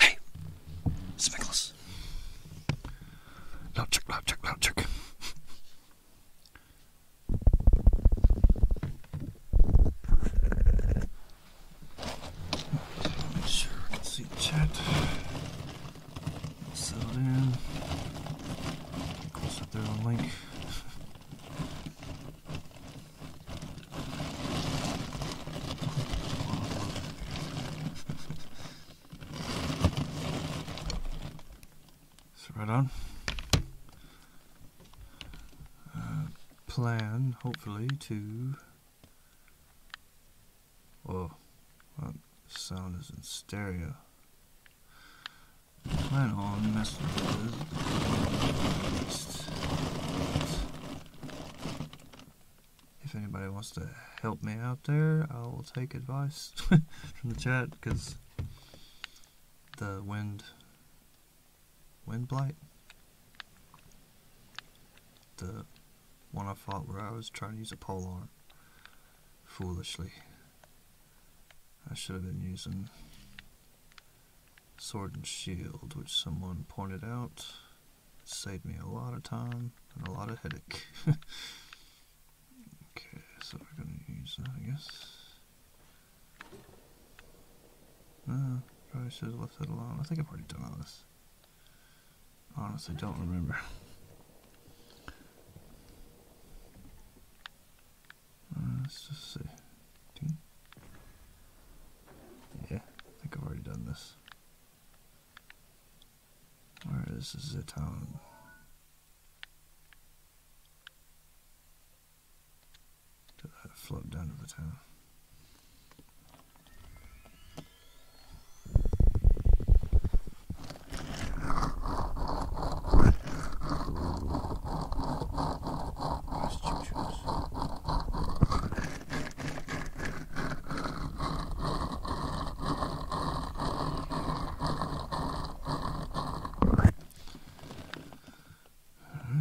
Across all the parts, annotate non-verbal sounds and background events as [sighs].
Hey, it's Loud check, loud check, loud check. Make sure I can see chat. Settle down. Go sit there on link so right on. Uh, plan, hopefully, to. Oh, well, sound is in stereo. If anybody wants to help me out there, I will take advice [laughs] from the chat because the wind, wind blight, the one I fought where I was trying to use a pole arm foolishly. I should have been using Sword and Shield, which someone pointed out. Saved me a lot of time and a lot of headache. [laughs] okay, so we're going to use that, I guess. Uh, probably should have left that alone. I think I've already done all this. Honestly, don't remember. [laughs] Uh, let's just see. Yeah, I think I've already done this. Where is Zitone? Did that float down to the town? Alright,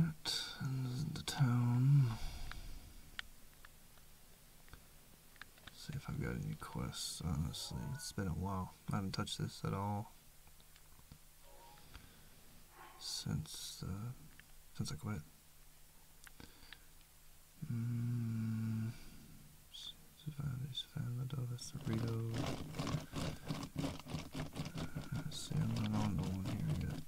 and town. see if I've got any quests, honestly. It's been a while. I haven't touched this at all since uh, since I quit. Mm, Savannah's Family, Cerrito. Uh, see, I'm not on the one here yet.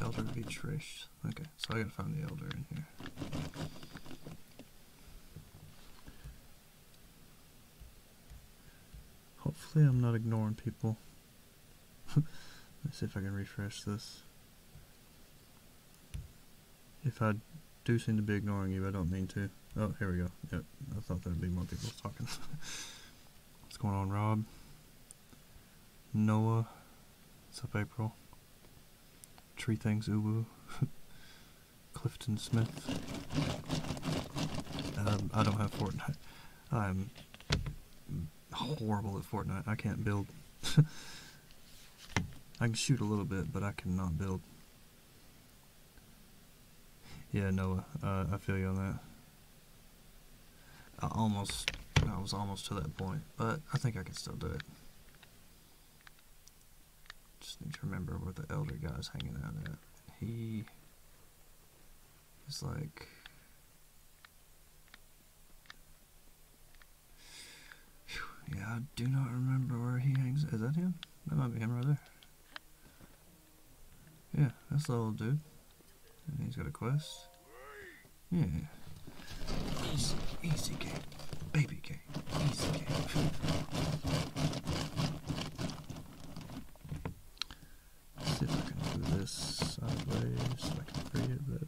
Elder Beach Race. Okay, so I gotta find the Elder in here. Hopefully, I'm not ignoring people. [laughs] Let's see if I can refresh this. If I do seem to be ignoring you, I don't mean to. Oh, here we go. Yep, I thought there'd be more people talking. [laughs] What's going on, Rob? Noah? What's April? Tree Things Ubu? [laughs] Clifton Smith? Um, I don't have Fortnite. I'm horrible at Fortnite. I can't build. [laughs] I can shoot a little bit, but I cannot build. Yeah, Noah, uh, I feel you on that. I almost, I was almost to that point, but I think I can still do it. Just need to remember where the elder guy is hanging out at. He is like yeah, I do not remember where he hangs. Is that him? That might be him brother. Yeah, that's the old dude. he's got a quest. Yeah. Easy, easy game. Baby game. Easy game. Let's see if I can do this sideways so I can free it better.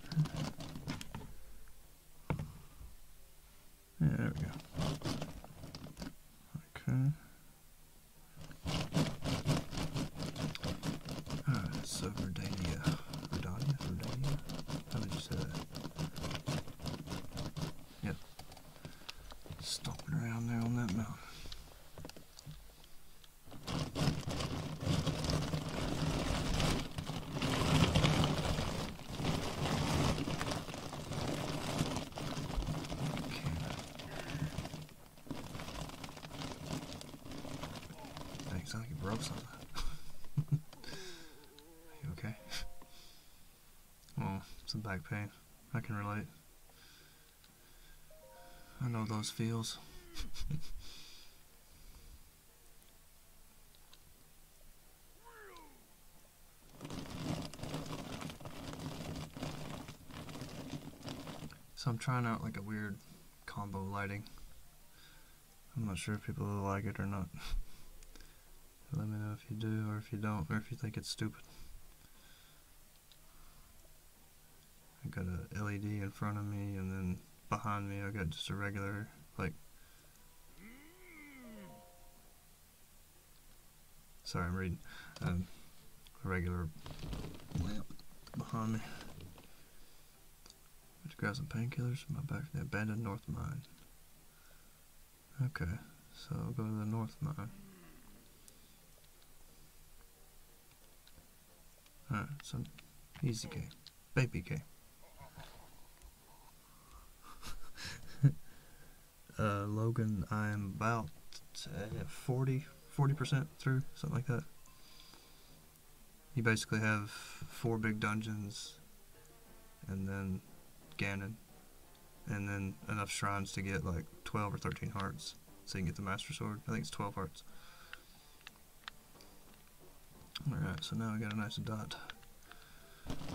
there we go. Okay. Alright, so Verdania. Verdania? Verdania? How did Yep. Stopping around there on that mountain. Dang, sounds broke something. [laughs] okay? Oh, it's a back pain. I can relate. I know those feels. [laughs] So I'm trying out like a weird combo lighting. I'm not sure if people like it or not. [laughs] Let me know if you do or if you don't or if you think it's stupid. I got a LED in front of me, and then behind me I got just a regular like. Sorry, I'm reading. Um, a regular lamp behind me. Let's grab some painkillers. My back to the abandoned north mine. Okay, so I'll go to the north mine. Alright, so easy game, Baby game. [laughs] Uh, Logan, I'm about uh, 40, 40% through, something like that. You basically have four big dungeons, and then Ganon, and then enough shrines to get like 12 or 13 hearts, so you can get the Master Sword. I think it's 12 hearts. Alright, so now I got a nice dot.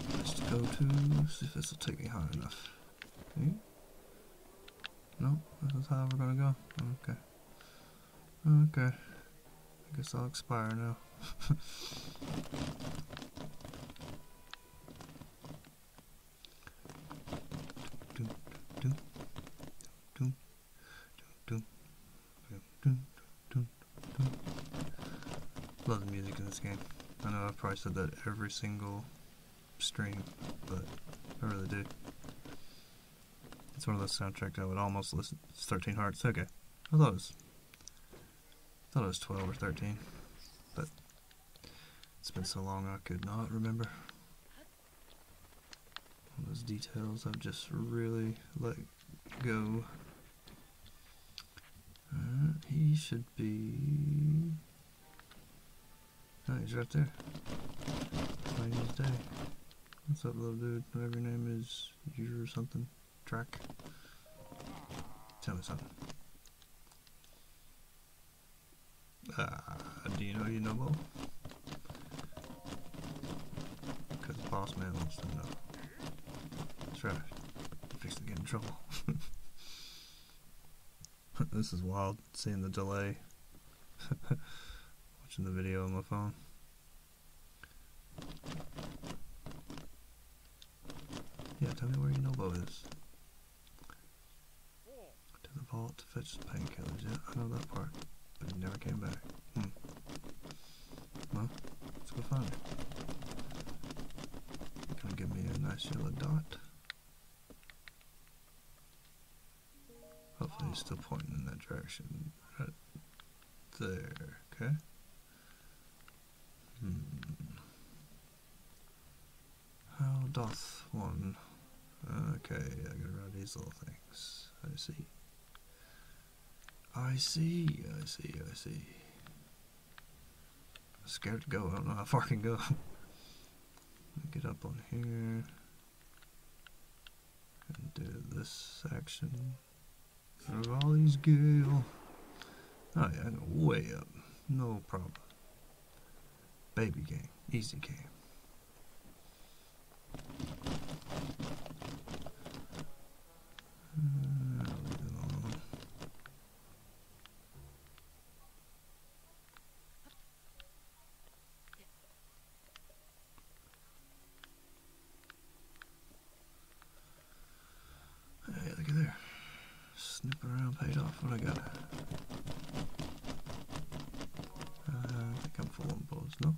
Place to go to, see if this will take me high enough. Okay. Hmm? No, this is how we're gonna go. Okay. Okay. I guess I'll expire now. [laughs] Love the music in this game. I know I've probably said that every single stream, but I really do. It's one of those soundtracks I would almost listen. 13 Hearts. Okay, I thought it was. I thought it was 12 or 13, but it's been so long I could not remember. All those details I've just really let go. Uh, he should be. Oh, he's right there. Plain as What's up, little dude? Whatever your name is, you or something. Track. Tell me something. Ah, do you know you know because the boss man wants to know. That's right. I'm fixing to get in trouble. [laughs] this is wild, seeing the delay. [laughs] Watching the video on my phone. Yeah, tell me where your Nobo is. To the vault to fix the painkillers, yeah, I know that part but he never came back. Hmm. Well, let's go find it. Gonna give me a nice yellow dot. Hopefully, he's still pointing in that direction. there. Okay. Hmm. How doth one? Okay, I gotta write these little things. I see. I see, I see, I see. I'm scared to go. I don't know how far I can go. Get up on here and do this section. Raleigh's Gale. Oh yeah, I know way up. No problem. Baby game. Easy game. Uh, hey, look at there. Snooping around paid off. What I got? Uh, I think I'm full balls, no?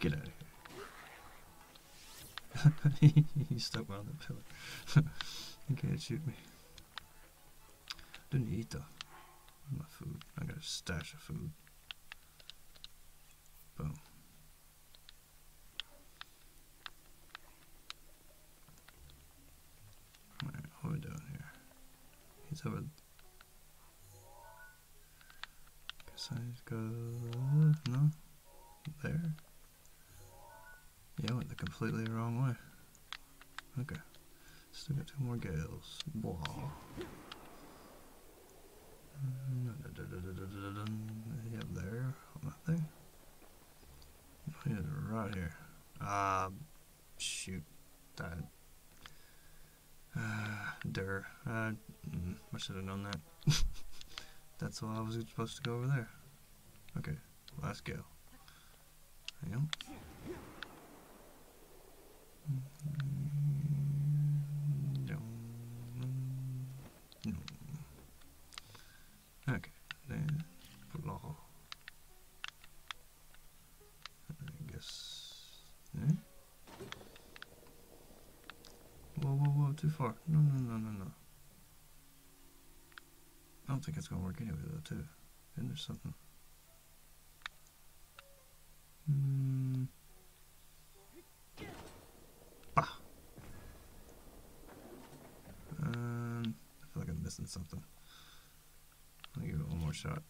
Get out of here. [laughs] You stuck on the pillar. [laughs] You can't shoot me. Didn't eat though. My food. I got a stash of food. Boom what we doing here? He's over. Guess I go. No? There? Yeah, I went the completely wrong way. Okay. Still got two more gales. Blah. Yep, mm, there. On that thing. Right here. Uh, shoot that uh, der uh, mm, I should have known that [laughs] that's why I was supposed to go over there okay let's go hang on mm-hmm. okay then blow I guess. Eh? Whoa, whoa, whoa, too far. No, no, no, no, no. I don't think it's gonna work anyway, though, too. Isn't there something? Hmm. Ah! Um, I feel like I'm missing something. I'll give it one more shot.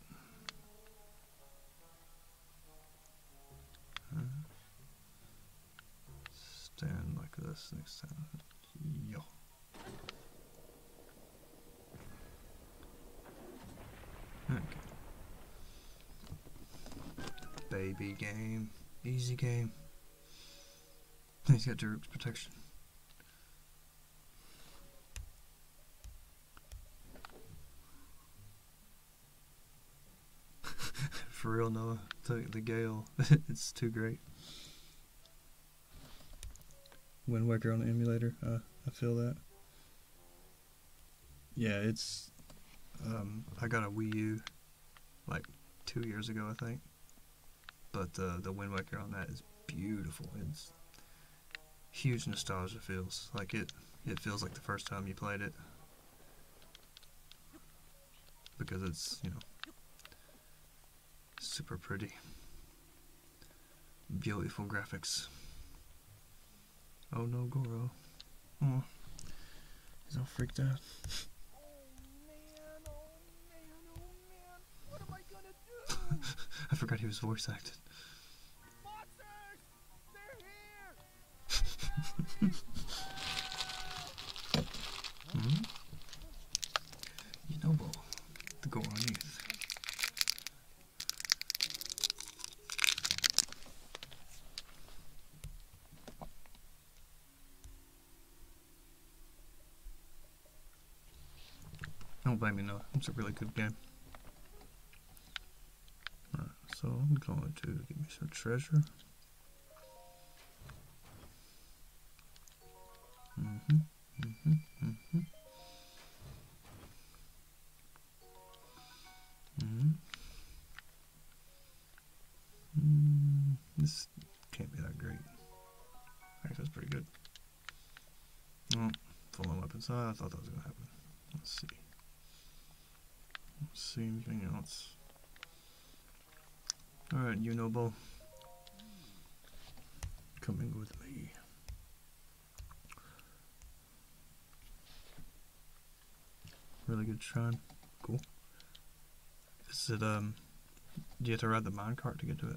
stand like this next time. Yo. Okay. Baby game. Easy game. He's got Daruk's protection. [laughs] For real, Noah. The, the Gale. [laughs] it's too great. Wind Waker on the emulator. I feel that. Yeah, it's. Um, I got a Wii U like two years ago, I think. But uh, the Wind Waker on that is beautiful. It's huge nostalgia feels. Like it, it feels like the first time you played it. Because it's, you know, super pretty. Beautiful graphics. Oh no, Goro. Oh, he's all freaked out. Oh, oh, oh, what am I gonna do? [laughs] I forgot he was voice acted. [laughs] Hmm? You know, Bo, the go on youth. Don't blame me, though. It's a really good game. so I'm going to give me some treasure. Mm-hmm, mm-hmm, mm-hmm. Mm-hmm. Mm, this can't be that great. I think that's pretty good. Oh, fallen weapons. Oh, I thought that was going to happen. Let's see. Let's see anything else. Alright, you noble. Coming with me. Really good shrine. Cool. Is it, um, do you have to ride the minecart to get to it?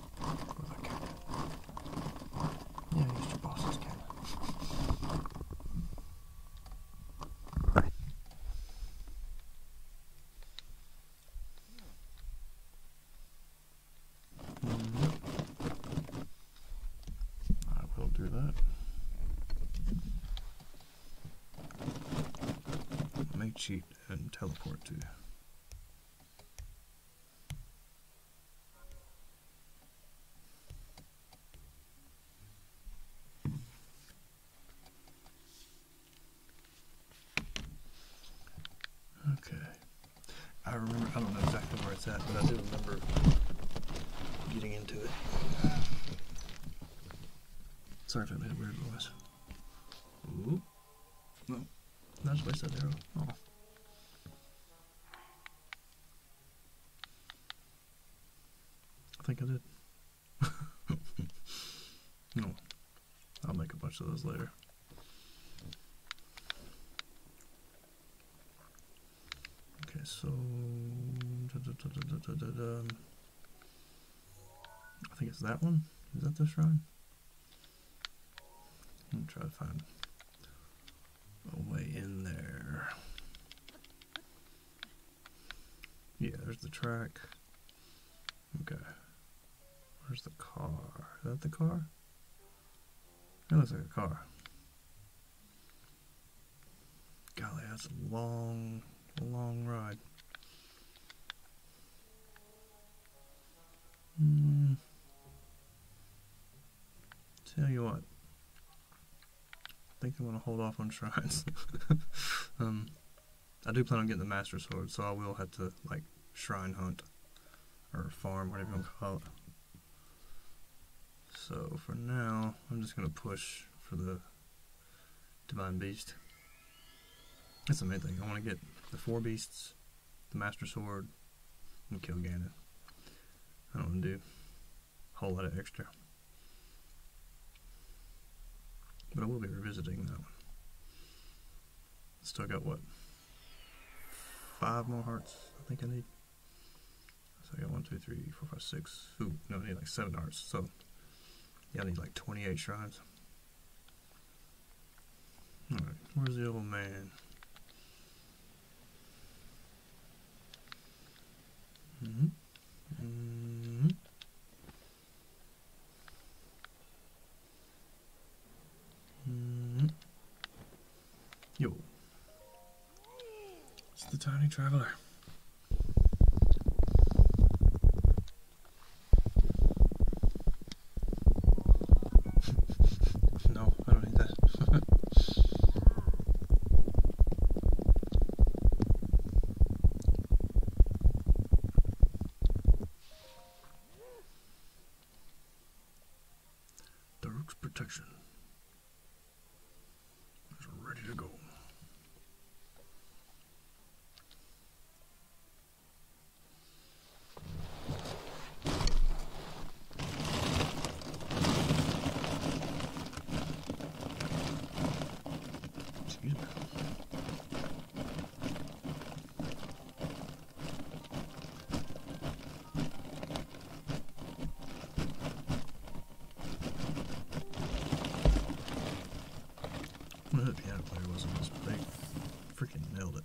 with Yeah, I used your boss's cannon. I will do that. Mate sheet and teleport to. Okay. I remember, I don't know exactly where it's at, but I do remember getting into it. Sorry if I made a weird noise. Ooh. No. That's as I said there. Oh. I think I did. [laughs] no, I'll make a bunch of those later. Okay, so I think it's that one. Is that the shrine? I'm try to find a way in there. Yeah, there's the track. Okay. Where's the car? Is that the car? That looks like a car. Golly, that's a long, long ride. Hmm. Tell you what, I think I'm gonna hold off on shrines. [laughs] Um, I do plan on getting the master sword, so I will have to like shrine hunt or farm, whatever you want to call it. So for now, I'm just gonna push for the divine beast. That's the main thing. I want to get the four beasts, the Master Sword, and kill Ganon. I don't want do a whole lot of extra. But I will be revisiting that one. Still got what? Five more hearts I think I need. So I got one, two, three, four, five, six. Ooh, no, I need like seven hearts. So yeah, I need like 28 shrines. Alright, where's the old man? -hmm. -hmm. -hmm. Yo, it's the tiny traveler. [laughs] no, I don't need that. [laughs] the rook's protection is ready to go. Excuse me. What if the piano player wasn't this big? Freaking nailed it.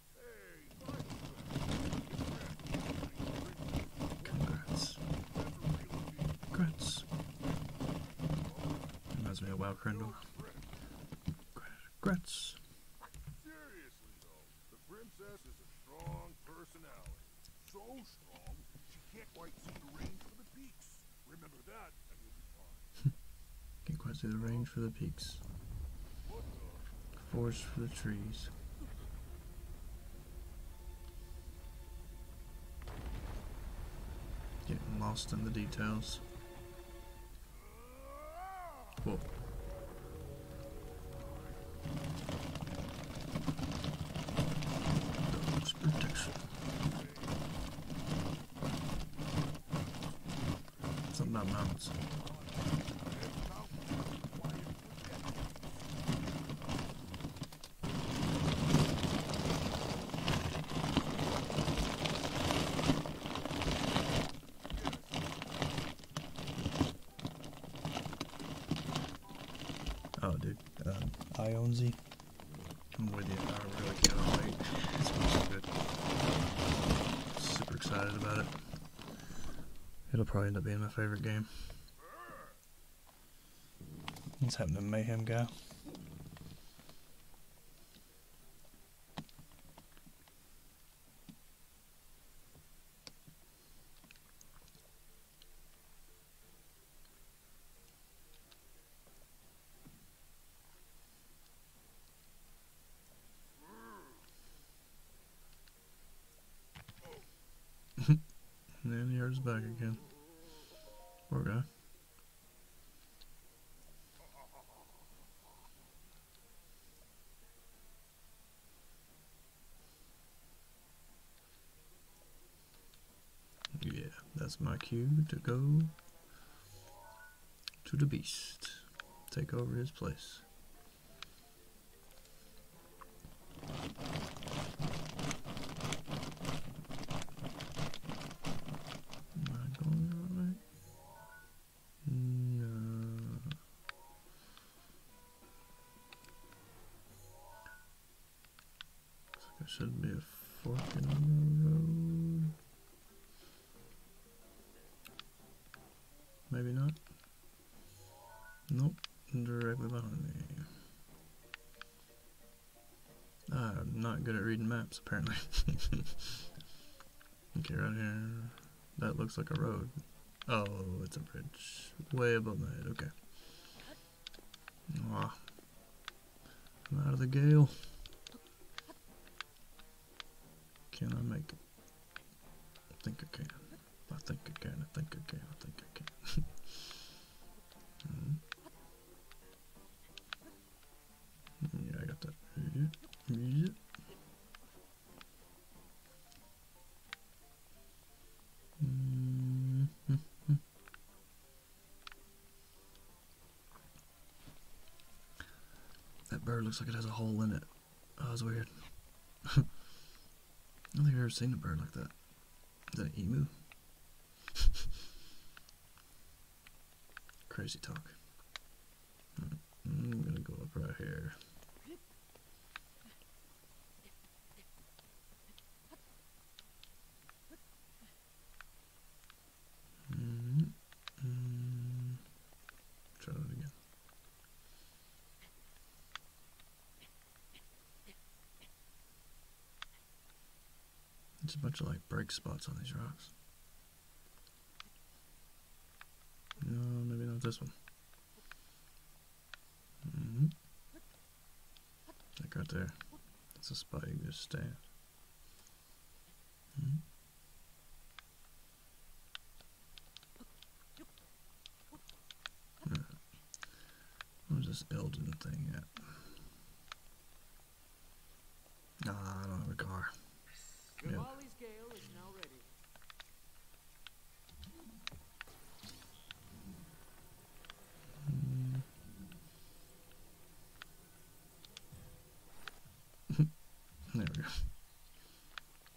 Congrats. Congrats. Reminds me of Wild Crandall. Congrats. Seriously though, the princess is a strong personality. So strong, she can't quite see the range for the peaks. you [laughs] can't quite see the range for the peaks. Forest for the trees. Getting lost in the details. Whoa. protection. Something about mountains. Oh, dude. Um, Ionzy. I'm with you. I really cannot wait. It's going to be so good. Super excited about it. It'll probably end up being my favorite game. What's happened to Mayhem Guy? and then he hurts back again. Poor guy. Yeah, that's my cue to go to the beast. Take over his place. Am I going the No. Looks like there should be a fucking in Maybe not. Nope, directly behind me. I'm not good at reading maps, apparently. [laughs] okay, right here. That looks like a road. Oh, it's a bridge. Way above my head, okay. Ah, I'm out of the gale. Can I make it? I think I can. I think again, I think again, I think again. mm. [laughs] Yeah, I got that. Yeah. That bird looks like it has a hole in it. Oh, that was weird. I [laughs] think I've ever seen a bird like that. Is that an emu? [laughs] Crazy talk. Mm, I'm gonna go up right here. -hmm. Try that again. It's a bunch of like break spots on these rocks. No, maybe not this one. Mm -hmm. there. That's a spot you can just Hmm. Where's this Elden thing at? Nah, I don't have a car. Hmm. [laughs] there we go.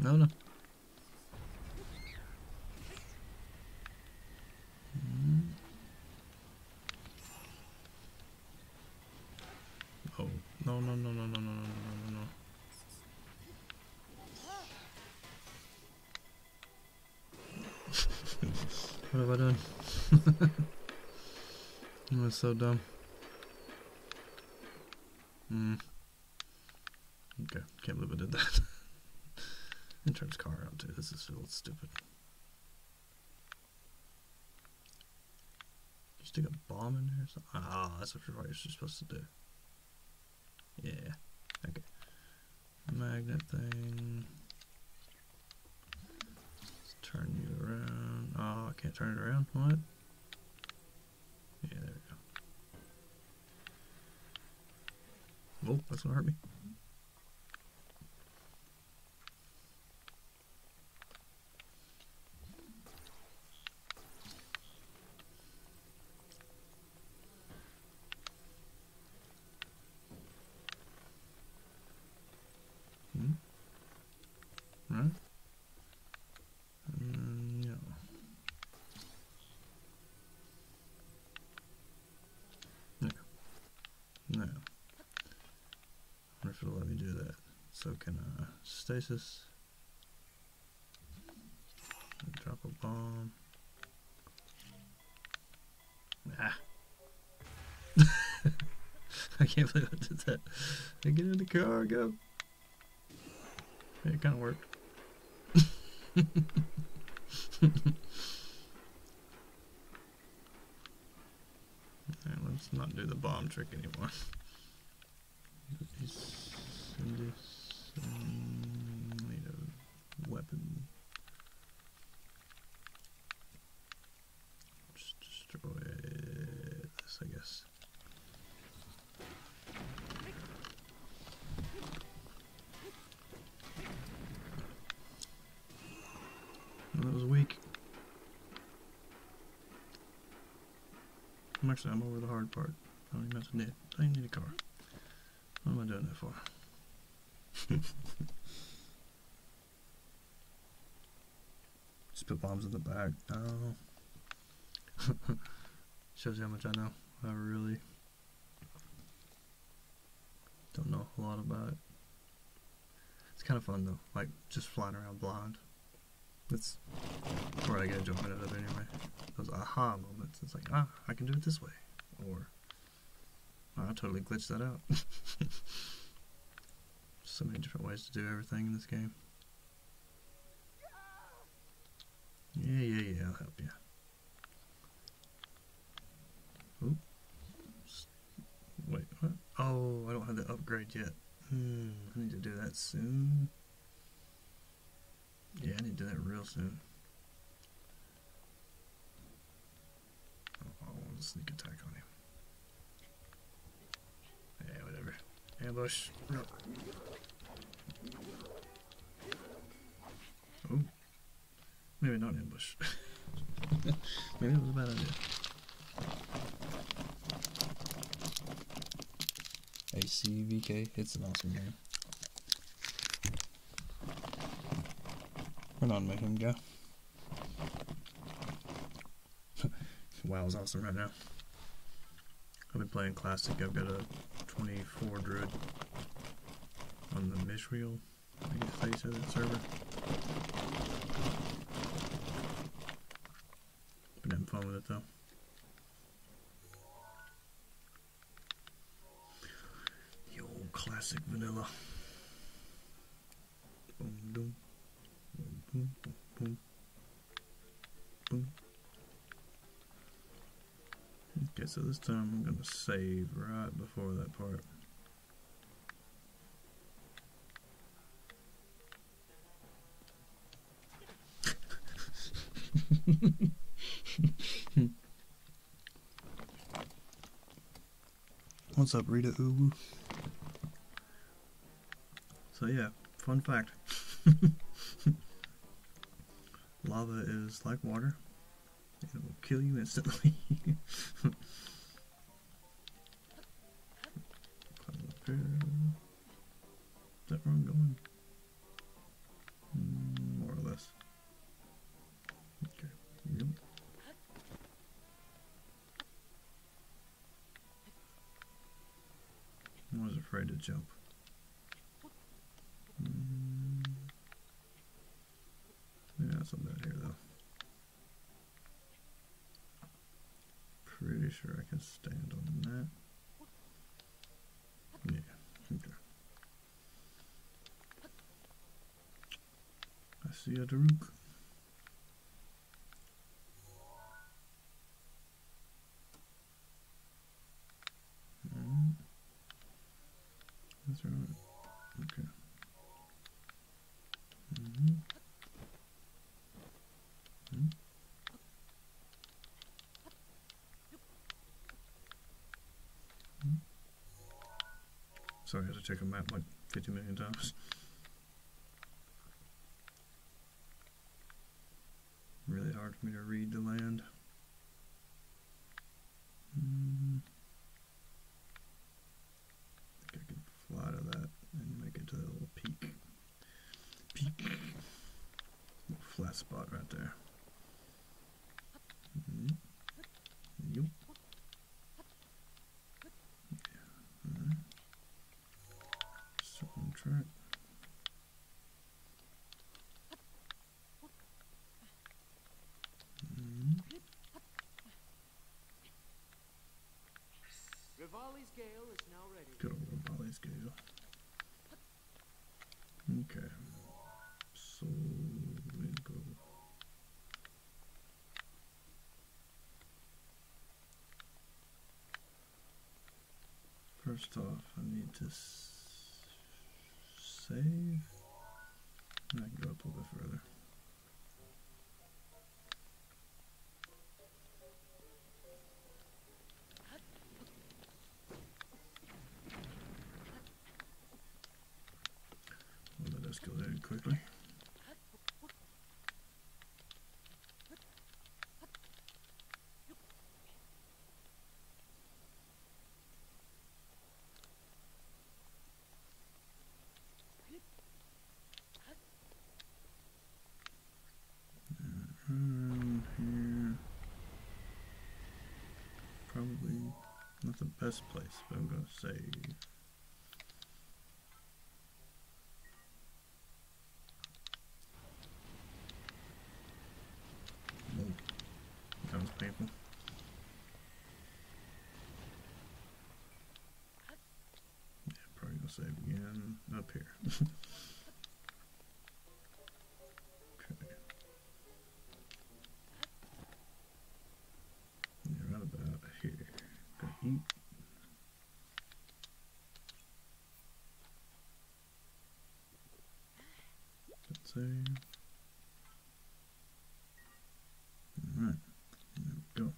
No, no. Mm. Oh, no, no, no, no, no, no, no, no, no, no. what have I done? That's so dumb. Mm. Okay, can't believe I did that. [laughs] and turns car around. too. This is a little stupid. You stick a bomb in there. or something? Ah, that's what you're supposed to do. Yeah. Okay. Magnet thing. turn you around. Oh, I can't turn it around. What? Yeah, Oh, that's gonna hurt me. Hmm? Right? Mm, no. No. No. wonder if it'll let me do that. So can uh, stasis. Drop a bomb. Ah. [laughs] I can't believe I did that. I get in the car, go. It kind of worked. [laughs] Alright, let's not do the bomb trick anymore. need a weapon. Just destroy this, I guess. That was weak. I'm actually, I'm over the hard part. I don't even have to knit. I need a car. What am I doing that for? Just [laughs] put bombs in the back. [laughs] Shows you how much I know. I really don't know a lot about it. It's kind of fun though, like just flying around blind. That's where I get enjoyment out of it anyway. Those aha moments. It's like, ah, I can do it this way. Or, oh, I totally glitched that out. [laughs] so many different ways to do everything in this game. Yeah, yeah, yeah, I'll help you. Oop. Wait, what? Oh, I don't have the upgrade yet. Hmm, I need to do that soon. Yeah, I need to do that real soon. Oh, sneak attack on him. Yeah, whatever. Ambush. Oh. Maybe not ambush. [laughs] Maybe it was a bad idea. ACVK, it's an awesome game. We're not making Yeah. [laughs] wow is awesome right now i have been playing classic. I've got a 24 druid on the Mishriel, I guess they said that server. Been having fun with it though. The old classic vanilla. Okay, so this time I'm going to save right before that part. [laughs] What's up, Rita Uwu? So yeah, fun fact. [laughs] Lava is like water, it will kill you instantly. Is [laughs] that where I'm going? Mm, more or less. Okay. Yep. I was afraid to jump. Mm. something here though. Pretty sure I can stand on that. Yeah, okay. I see a Daruk. Mm. That's right. Okay. Mm -hmm. Sorry, I had to take a map like 50 million times. Really hard for me to read the land. Hmm. think I can fly to that and make it to that little peak. Peak. flat spot right there. Hmm. Yep. Yeah. Right. Hmm. Circling Rivali's Gale is now ready. Good old Rivali's Gale. Okay. So First off, I need to save. And I go up a bit further. let us go there quickly. Mm -hmm. Probably not the best place, but I'm gonna say. Ooh. Those probably gonna save again up here. [laughs] right about here. Let's see. there we go.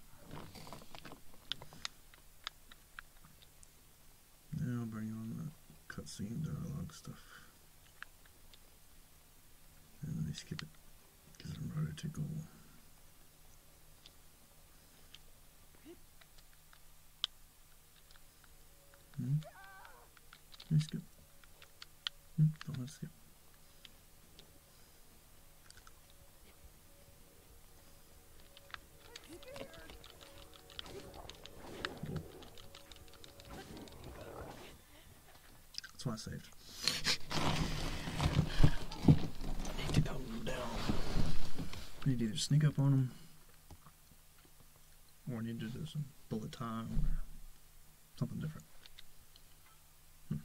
Now bring on the cutscene dialogue stuff. And let me skip it because I'm ready to go. Hmm? Can I skip? Hmm? do That's why I saved. need to calm down. I need to either sneak up on them or need to do some bullet time or something different. Hmm.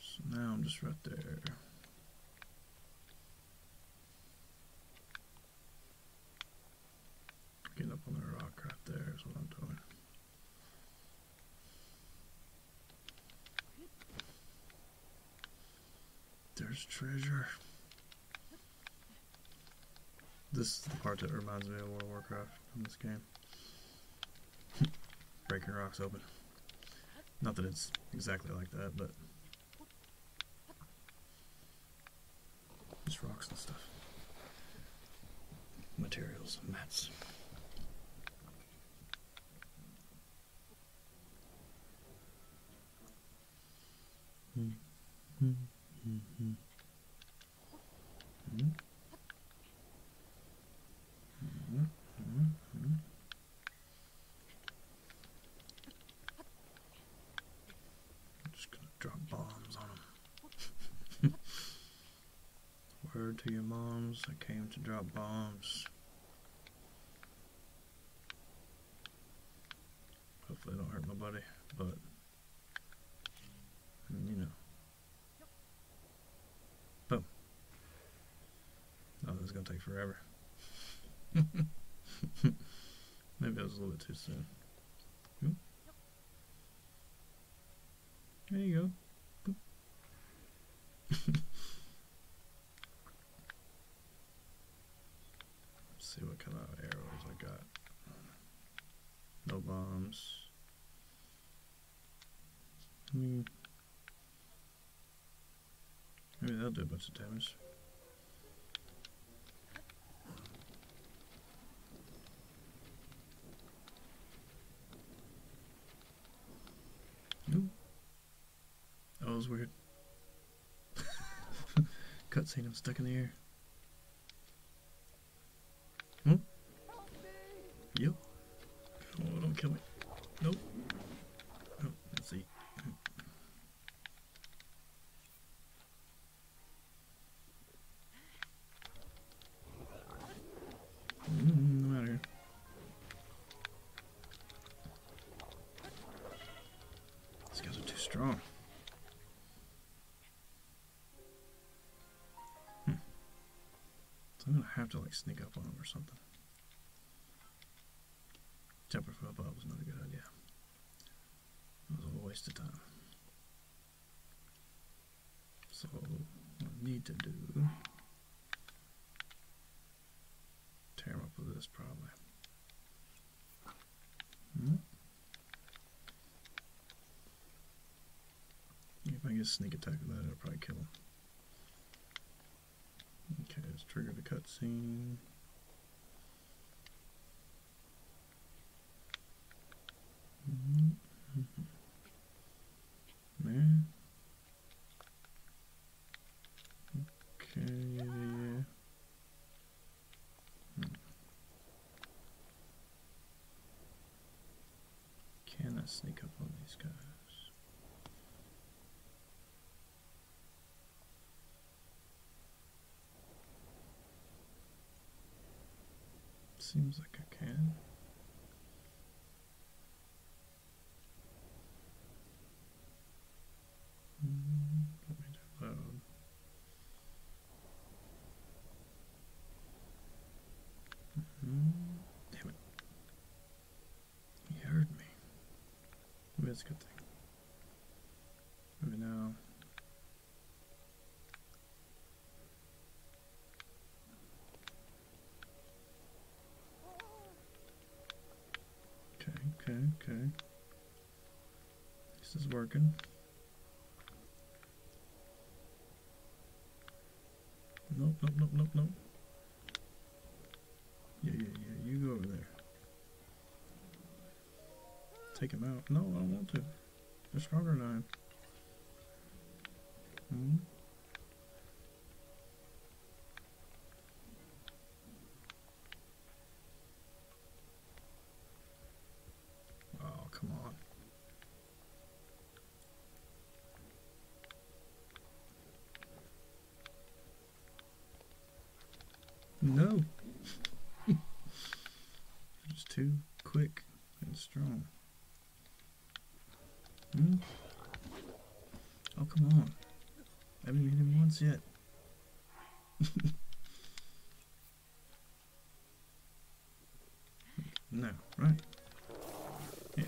So now I'm just right there. Get up on the rock right there is what I'm doing. There's treasure. This is the part that reminds me of World Warcraft in this game. [laughs] Breaking rocks open. Not that it's exactly like that, but just rocks and stuff. Materials, mats. Mm -hmm. Mm -hmm. Mm -hmm. Mm -hmm. I'm just gonna drop bombs on them. [laughs] Word to your moms, I came to drop bombs. Hopefully don't hurt my buddy. but you know. Boom. Oh, this is gonna take forever. [laughs] Maybe I was a little bit too soon. There you go. see what kind of arrows I got. No bombs. Maybe they will do a bunch of damage. Ooh. That was weird. [laughs] Cutscene, I'm stuck in the air. Hmm? Yep. Oh, don't kill me. Nope. Oh, let's see no matter. These guys are too strong. Hmm. I'm gonna have to like sneak up on them or something. Temper for above was not a good idea. That was a waste of time. So what I need to do tear up with this probably. Hmm? If I get sneak attack with that, it'll probably kill him. Okay, let's trigger the cutscene. Hmm? Okay, hmm. Can I sneak up on these guys? Seems like I can. Mm-hmm. Damn it. He heard me. Maybe that's a good thing. Maybe now. Okay, okay, okay. This is working. Nope, nope, nope, nope, nope. Yeah, yeah, yeah, you go over there. Take him out. No, I don't want to. They're stronger than I am. -hmm. Oh, come on. No. it's [laughs] too quick and strong. Hmm? Oh, come on. I haven't hit him once yet. [laughs] no, right? Yeah.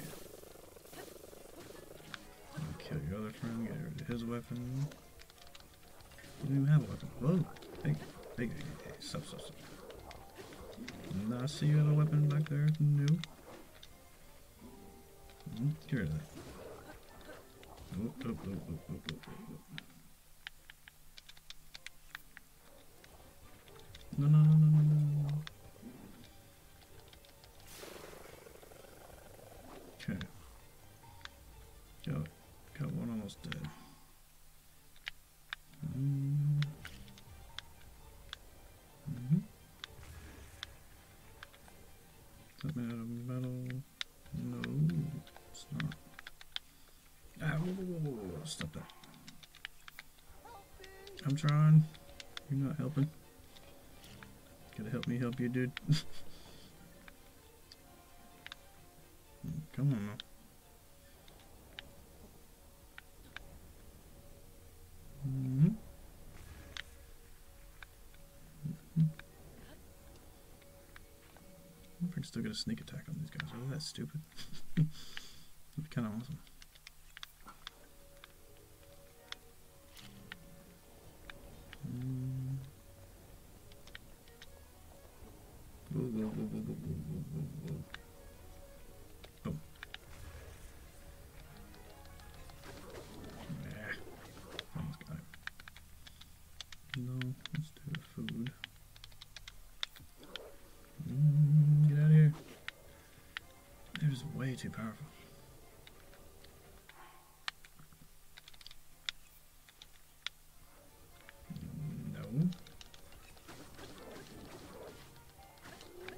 kill your other friend, get rid of his weapon. You don't even have a weapon. Whoa! Hey, hey, stop, stop, stop. I see you have a weapon back there. No. Get rid No, no, no, no, no, Okay. Got, got one almost dead. Hmm. Mm -hmm. Something out of metal. No, it's not. Ah, Stop that. I'm trying. You're not helping. Can to help me help you, dude. [laughs] Come on Mm-hmm. I wonder if can still get a sneak attack on these guys. Oh, that's stupid? [laughs] That'd be kind of awesome. Mm. Oh. No, let's do the food. Mm, get out of here. It is way too powerful. Mm, no.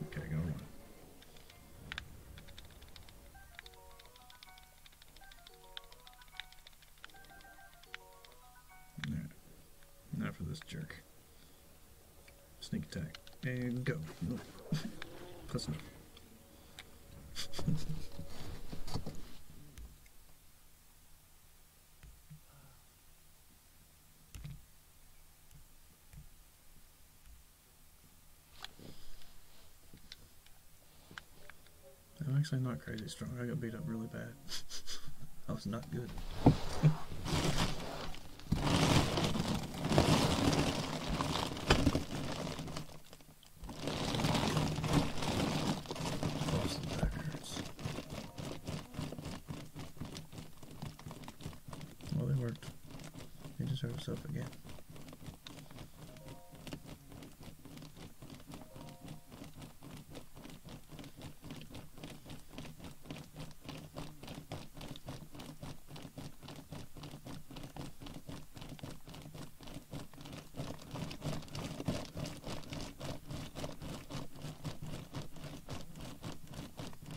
Okay, go one. Not for this jerk. Sneak attack. And go. Plus [laughs] no. [laughs] I'm actually not crazy strong. I got beat up really bad. That [laughs] was not good. Well, they worked. They just hurt up again.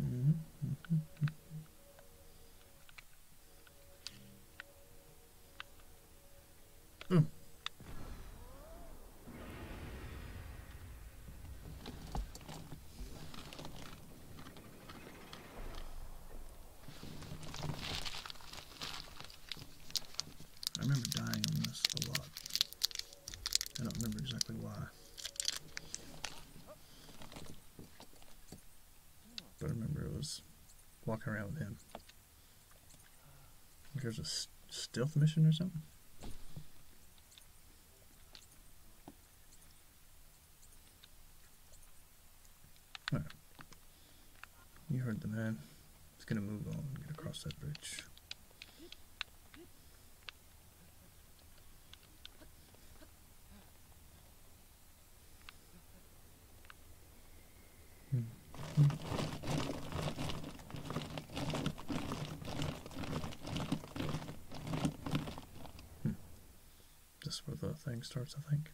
Mm -hmm. Mm. I remember dying on this a lot. I don't remember exactly why. But I remember it was walking around with him. There's a stealth mission or something? You heard the man. It's gonna move on, get across that bridge. -hmm. Hmm. This is where the thing starts, I think.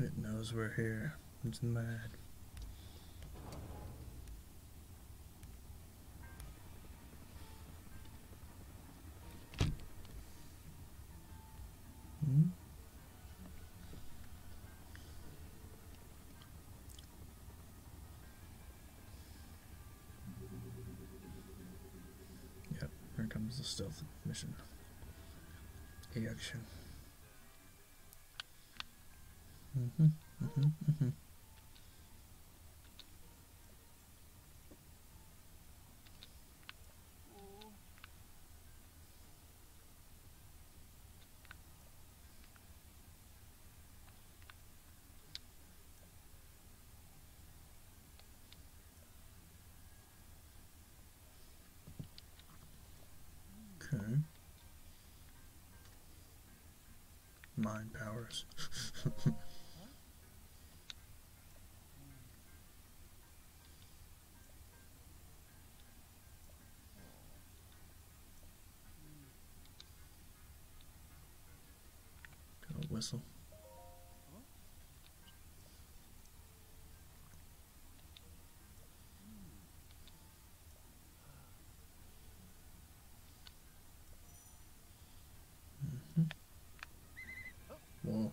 It knows we're here. It's mad. Hmm? Yep, here comes the stealth mission. action. hmm hmm hmm Okay. Mind powers. Got a whistle. Mm -hmm. Whoa.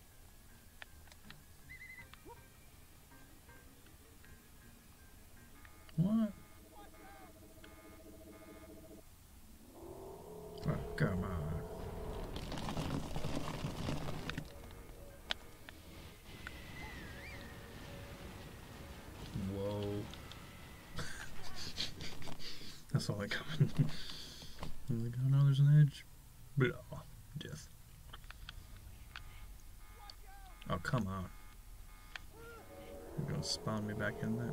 What? Oh, come on. Whoa. [laughs] That's all I got. like, oh no, there's an edge. Blah. Death. Uh, oh, come on. You're gonna spawn me back in there?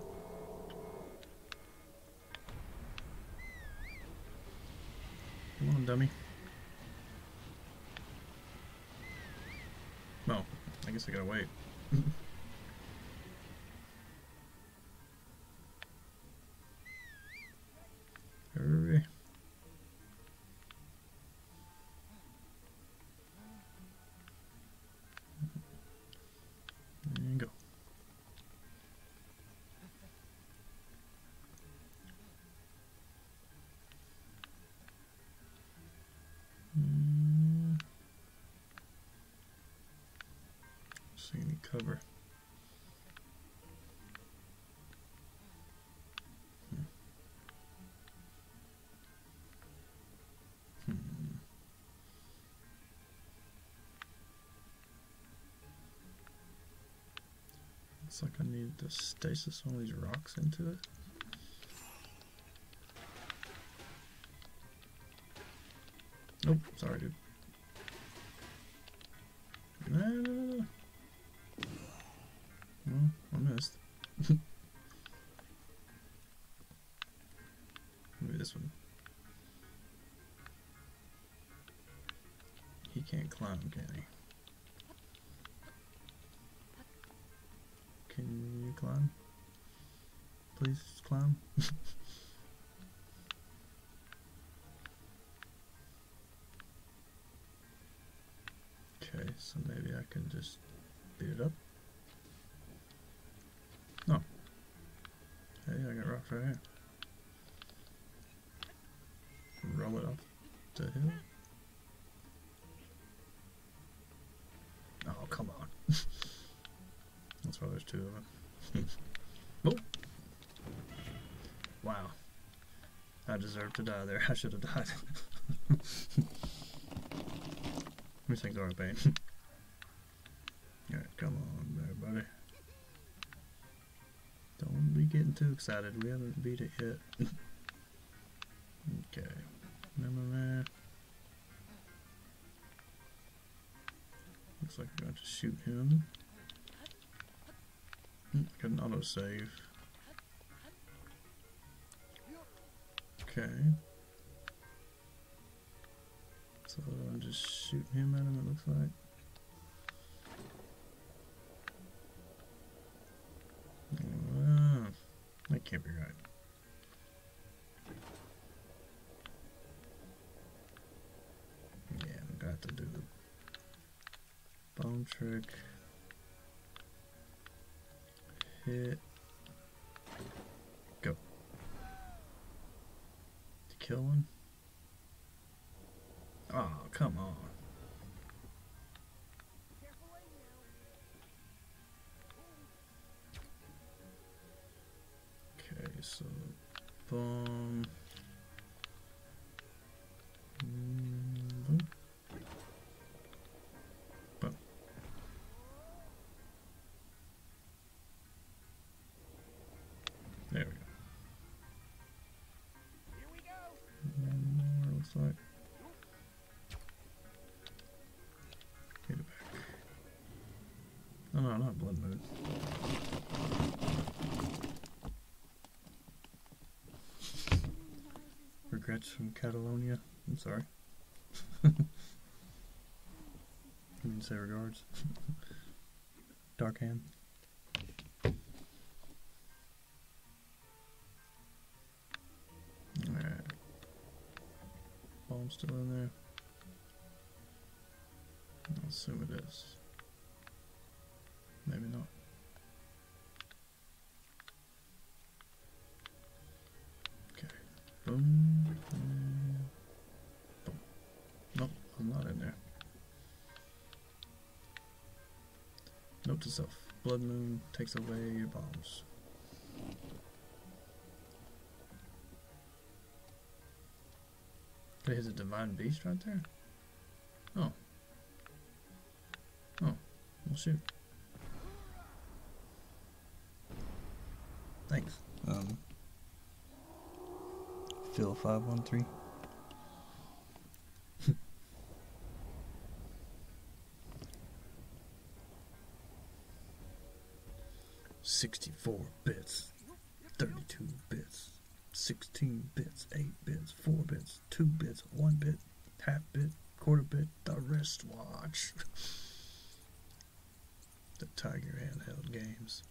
Come on, dummy. Well, I guess I gotta wait. [laughs] There you go. Mm. See any cover. Hmm. Looks like I need to stasis one of these rocks into it. Nope, sorry dude. No, no, no, Well, hmm, I missed. [laughs] Maybe this one. He can't climb, can Can you climb? Please climb. [laughs] Okay, so maybe I can just beat it up. No. Hey, I got rocks right here. Roll it up to hill. Oh, come on. [laughs] That's why there's two of them. [laughs] oh. Wow. I deserve to die there. [laughs] I should have died. These things are a pain. [laughs] Alright, come on there, buddy. Don't be getting too excited. We haven't beat it yet. okay. Remember that. Looks like I am got to shoot him. Hmm, I got an autosave. Okay. So I'm just shooting him at him, it looks like. that can't be right. Yeah, I'm gonna do the bone trick. Hit. Go. To kill one? Oh, come on. Okay, so bomb. Mm There we go. One more looks like. Get it back. No, not Blood Moon. Regrets from Catalonia. I'm sorry. I [laughs] did say regards. [laughs] Dark hand. Alright. Bomb's still in there. I'll assume it is. Maybe not. Okay. Nope, I'm not in there. Note to self. Blood Moon takes away your bombs. There's a divine beast right there? Oh. Oh. Well, shoot. Thanks. Um. Phil five one three. [laughs] Sixty four bits, thirty two bits. 16 bits, 8 bits, 4 bits, 2 bits, 1 bit, half bit, quarter bit, the wristwatch. [laughs] the Tiger handheld games.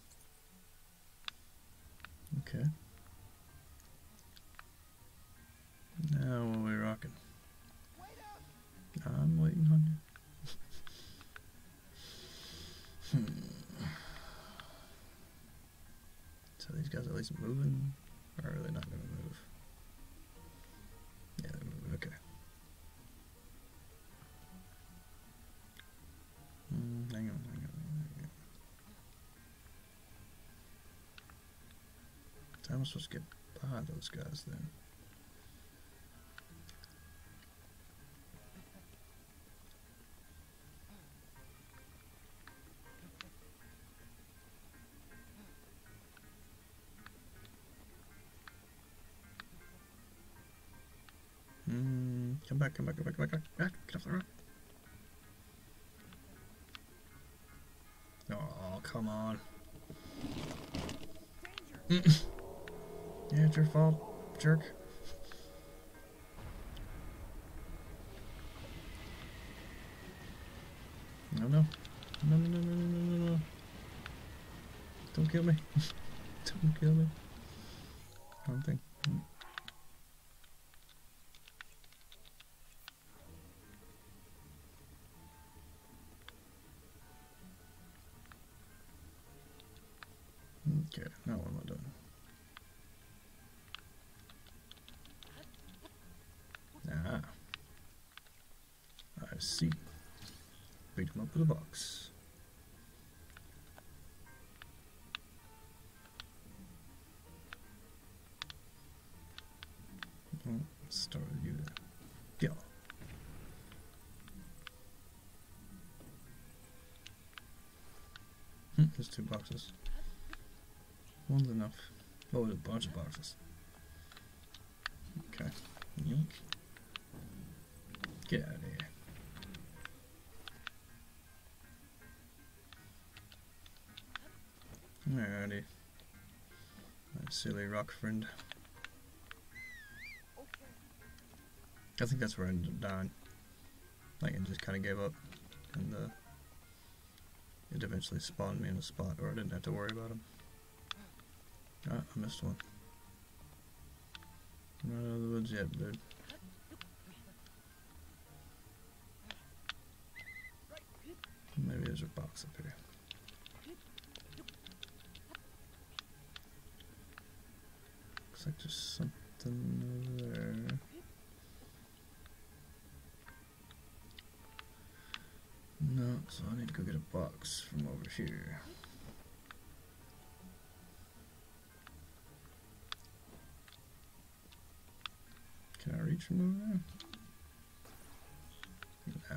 [laughs] okay. Now we are rocking? I'm waiting on you hmm. So these guys are at least moving, or are they not going to move? Yeah, they're moving. Okay. Mm, hang on, hang on, hang on. How am I supposed to get by those guys then? Mm, come back, come back, come back, come back, come back, back, get off the rock. Oh, come on yeah, it's your fault, jerk. No, no. No, no, no, no, no, no, Don't kill me. [laughs] Don't kill me. I don't think. Mm. Okay, now what am not done. Ah. I see. Beat him up with a box. Oh, start with you. Yeah. Hmm, there's two boxes. One's enough. Oh, there's a bunch of boxes. Okay. Yoink. Get out of here. Alrighty. My silly rock friend. I think that's where I ended up dying. Like, it just kind of gave up, and uh, it eventually spawned me in a spot where I didn't have to worry about him. Ah, I missed one. not out of the woods yet, dude. Maybe there's a box up here. Looks like there's something over there. No, so I need to go get a box from over here. Can I reach from over there? No.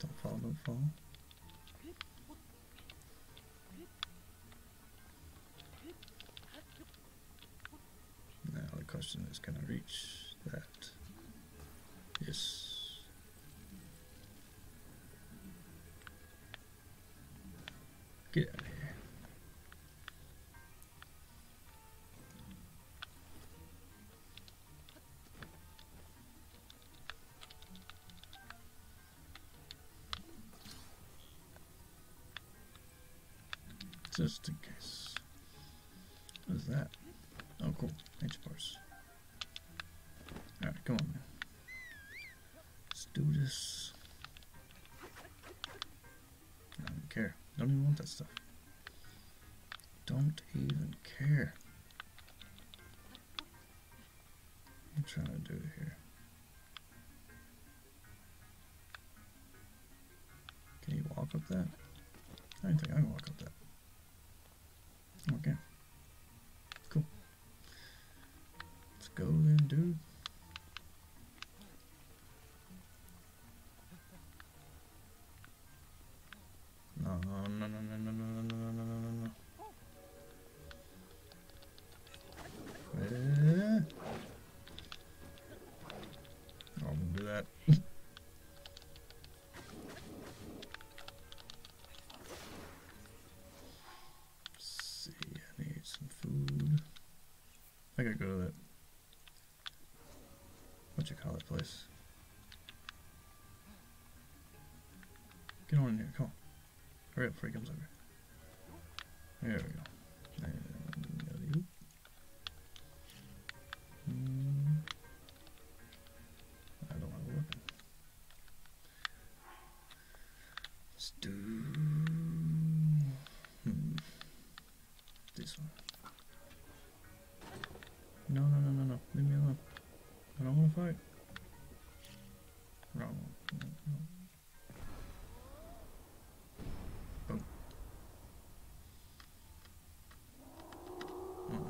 Don't fall, don't fall. Now the question is, can I reach that? Yes. Get out of here. Just in case. What is that? Oh, cool. H bars. Alright, come on, man. Let's do this. I don't care. I don't even want that stuff don't even care. I'm trying to do here. Can you walk up that? I don't think I can walk up that. Okay. Cool. Let's go then, dude. No, no, no, no, no, no, no, no, no, no, no, no. Eh. Oh, I'm gonna do that. see, I need some food. I gotta go to that what you call this place? Get on in here, come on. Hurry up before he comes over. There we go. Let's do. Hmm. This one. No, no, no, no, no. Leave me alone. I don't want to fight. no. Oh,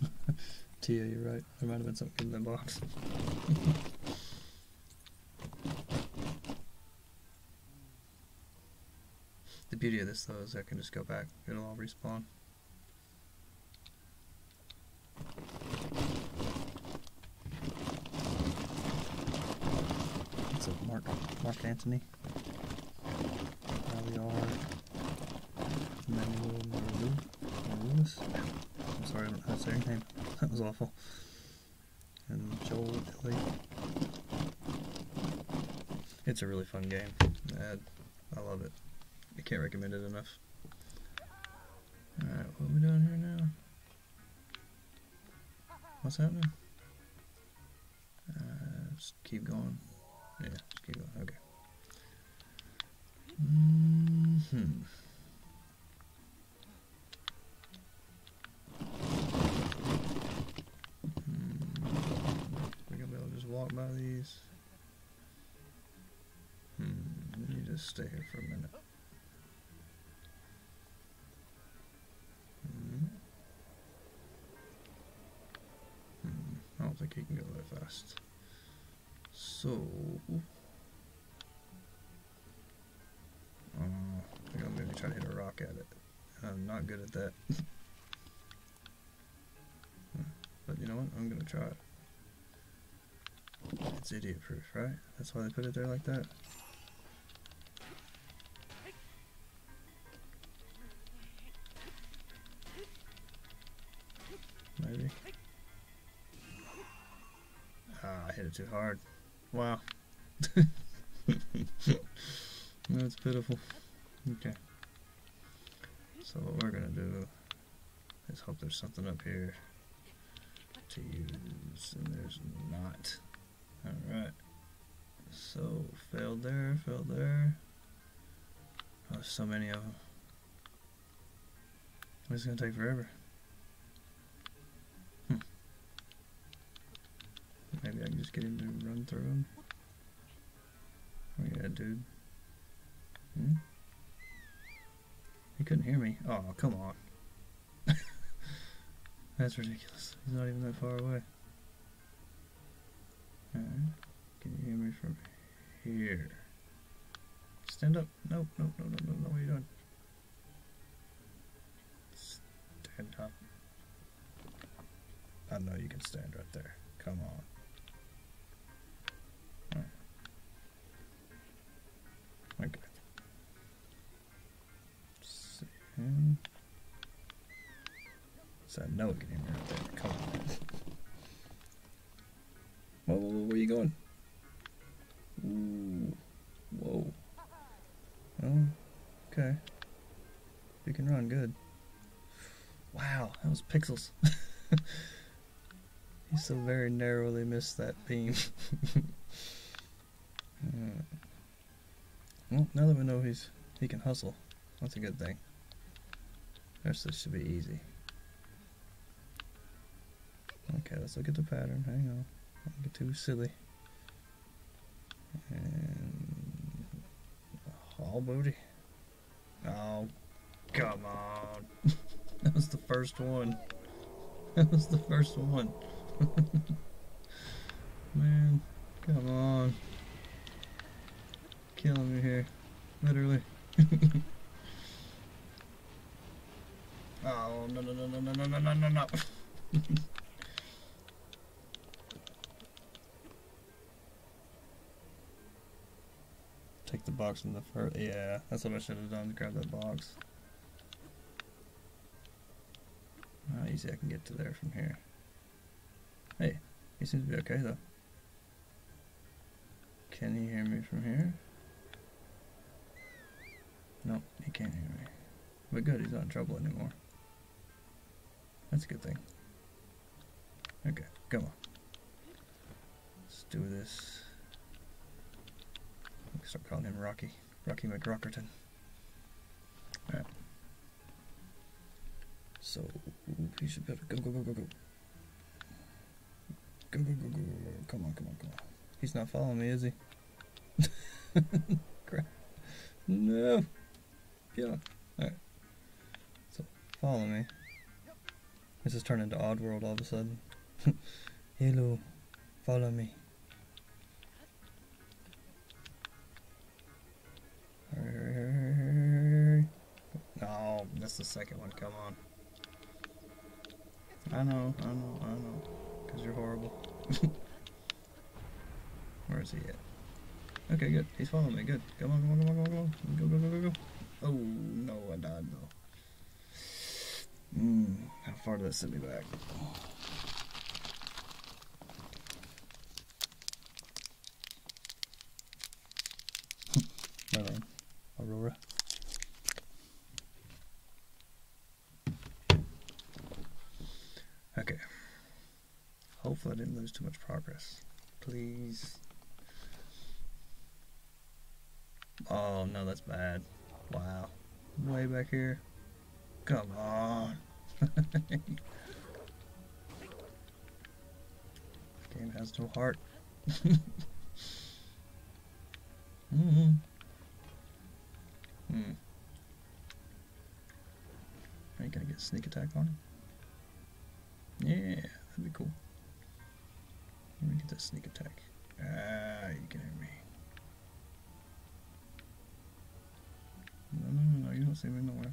[laughs] [laughs] Tia, you're right. There might have been something in the box. [laughs] the beauty of this though is I can just go back. It'll all respawn. It's a Mark Mark Antony. Now we are Manuel Maru. I'm sorry I don't know how to say her name. That was awful. And Joel It's a really fun game. I love it. I can't recommend it enough. Alright, what are we doing here now? What's happening? Uh, just keep going. Yeah, just keep going. Okay. Mm hmm. Hmm. be able to just walk by these. Hmm. You just stay here for a minute. Hmm. Hmm, I don't think he can go that fast so I am gonna maybe try to hit a rock at it I'm not good at that [laughs] but you know what I'm gonna try it it's idiot proof, right? That's why they put it there like that. Maybe. Ah, I hit it too hard. Wow. [laughs] That's pitiful. Okay. So what we're gonna do is hope there's something up here to use, and there's not. Alright. So, failed there, failed there. Oh, so many of them. This is going to take forever. Hmm. Maybe I can just get him to run through him. Oh yeah, dude. Hmm? He couldn't hear me. Oh, come on. [laughs] That's ridiculous. He's not even that far away. Alright. Can you hear me from here? Stand up. Nope, nope, nope, nope, nope, no. What are you doing? Stand up. I know you can stand right there. Come on. Okay. See him. So I know we right there. Come on. Whoa, whoa, where are you going? Ooh. Whoa. Oh, okay. You can run, good. Wow, that was pixels. he [laughs] so very narrowly missed that beam. [laughs] well, now that we know he's he can hustle, that's a good thing. The this should be easy. Okay, let's look at the pattern. Hang on. get too silly. all oh, booty. Oh, come on. [laughs] that was the first one. That was the first one. [laughs] Man, come on killing me here. Literally. [laughs] oh, no, no, no, no, no, no, no, no, no, no. [laughs] Take the box from the first. Yeah, that's what I should have done. Grab that box. How easy I can get to there from here. Hey, he seems to be okay though. Can you hear me from here? No, nope, he can't hear me. But good, he's not in trouble anymore. That's a good thing. Okay, come on. Let's do this. We can start calling him Rocky. Rocky McRockerton. Alright. So, he should be able to go, go, go, go, go. Go, go, go, go, go. Come on, come on, come on. He's not following me, is he? [laughs] No. Get Alright. So, follow me. This has turned into Oddworld all of a sudden. Hello. [laughs] Follow me. No, that's the second one. Come on. I know, I know, I know. Because you're horrible. [laughs] Where is he at? Okay, good. He's following me. Good. Come on, come on, come on, come on, come on. Go, go, go, go, go. Oh, no, I died, though. Mm, how far did that send me back? well then, Aurora. Okay. Hopefully I didn't lose too much progress. Please. Oh no, that's bad. Wow. Way back here. Come on. [laughs] Game has no heart. [laughs] mm hmm. Hmm. Are you gonna get sneak attack on him? Yeah, that'd be cool. Let me get that sneak attack. Ah, you kidding me? No, no, no, you don't see me nowhere.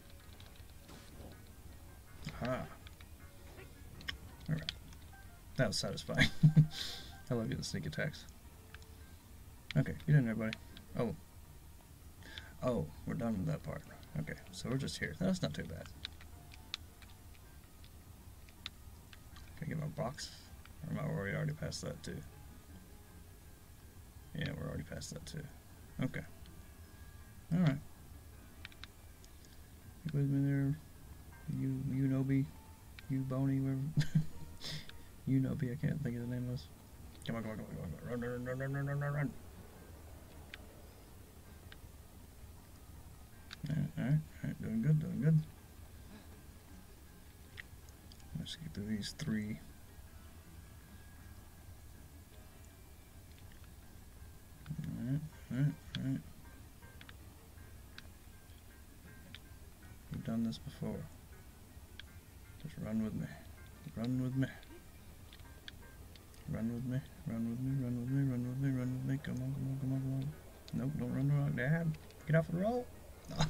Ah. Alright. That was satisfying. [laughs] I love getting sneak attacks. Okay, you done there, buddy. Oh. Oh, we're done with that part. Okay, so we're just here. That's not too bad. Can I get my box? Or am I already past that too? Yeah, we're already past that too. Okay. Alright. It was in there. You, you know, be. You bony, whatever. [laughs] you know, be. I can't think of the name of this. Come on, come on, come on, come on. Run, run, run, run, run, run, run, run. Alright, alright, alright. Doing good, doing good. Let's get through these three. Alright, alright, alright. We've done this before. Just run with me. Run with me. Run with me. Run with me. Run with me. Run with me. Run with me. Come on, come on, come on, come on. Nope, don't run the rock, Dad. Get off the roll.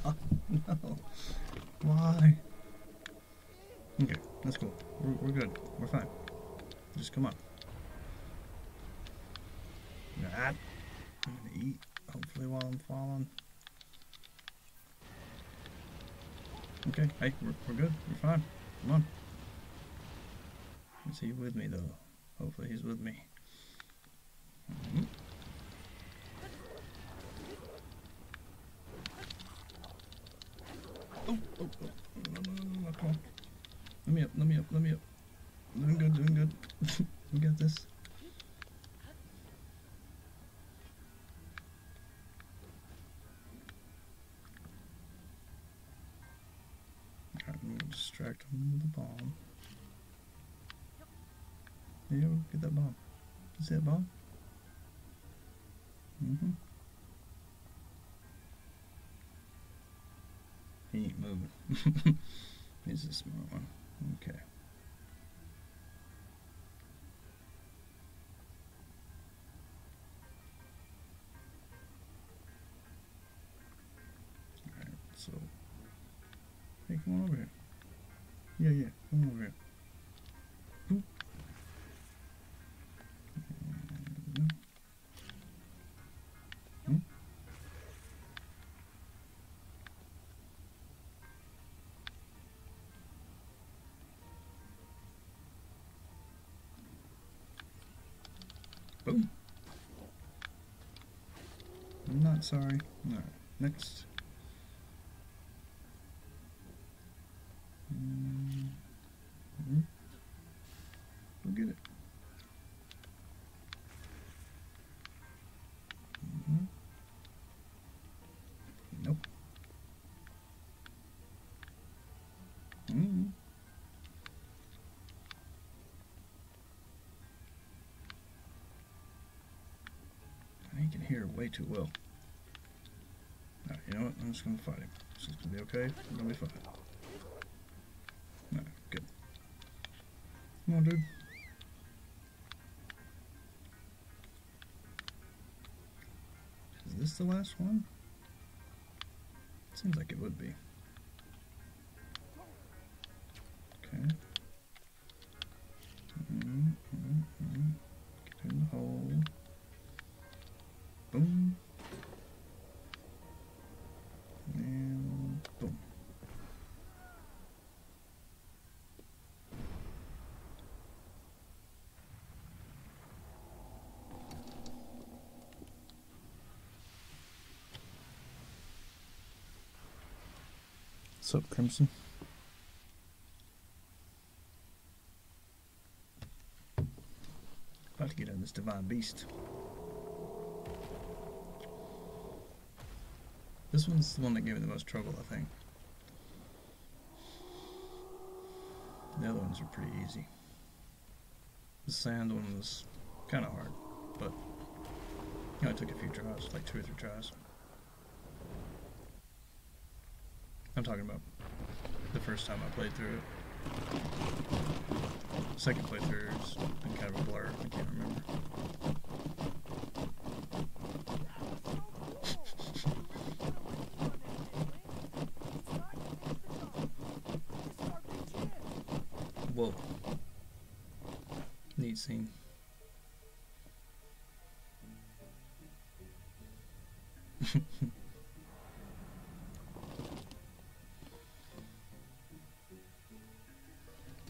Oh, [laughs] no. Why? Okay, that's cool. We're, good. We're fine. Just come on. eat, hopefully, while I'm falling. Okay, hey, we're, we're good. We're fine. Come on. Is he with me, though? Hopefully he's with me. Mm-hmm. Let me up, let me up, let me up. Doing good, doing good. we got this. Alright, distract him with a bomb. Yeah, get that bomb. Is that bomb? hmm he ain't moving. [laughs] He's a smart one. Okay. Alright, so. come on over here. Yeah, yeah, come over here. Boom. I'm not sorry. Alright, next. Mm -hmm. Go get it. Mm Nope. Mm -hmm. I can hear way too well you know what? I'm just gonna fight him. This is gonna be okay. i will be fine. No, good. Come on, dude. Is this the last one? Seems like it would be. Okay. Mm-hmm, mm-hmm, mm-hmm. Get in the hole. Boom. And boom. What's up, Crimson? About to get on this divine beast. This one's the one that gave me the most trouble, I think. The other ones are pretty easy. The sand one was kind of hard, but I took a few tries, like two or three tries. I'm talking about the first time I played through it. 2nd playthroughs, kind of a blur. I can't remember. Whoa. Neat scene.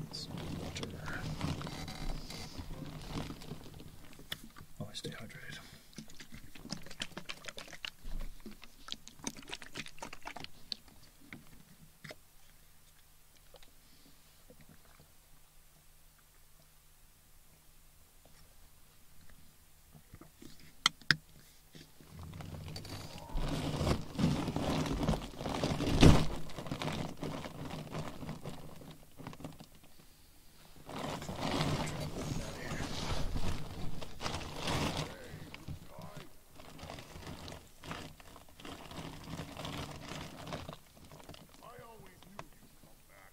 That's water. Always stay hydrated. I always knew you'd come back.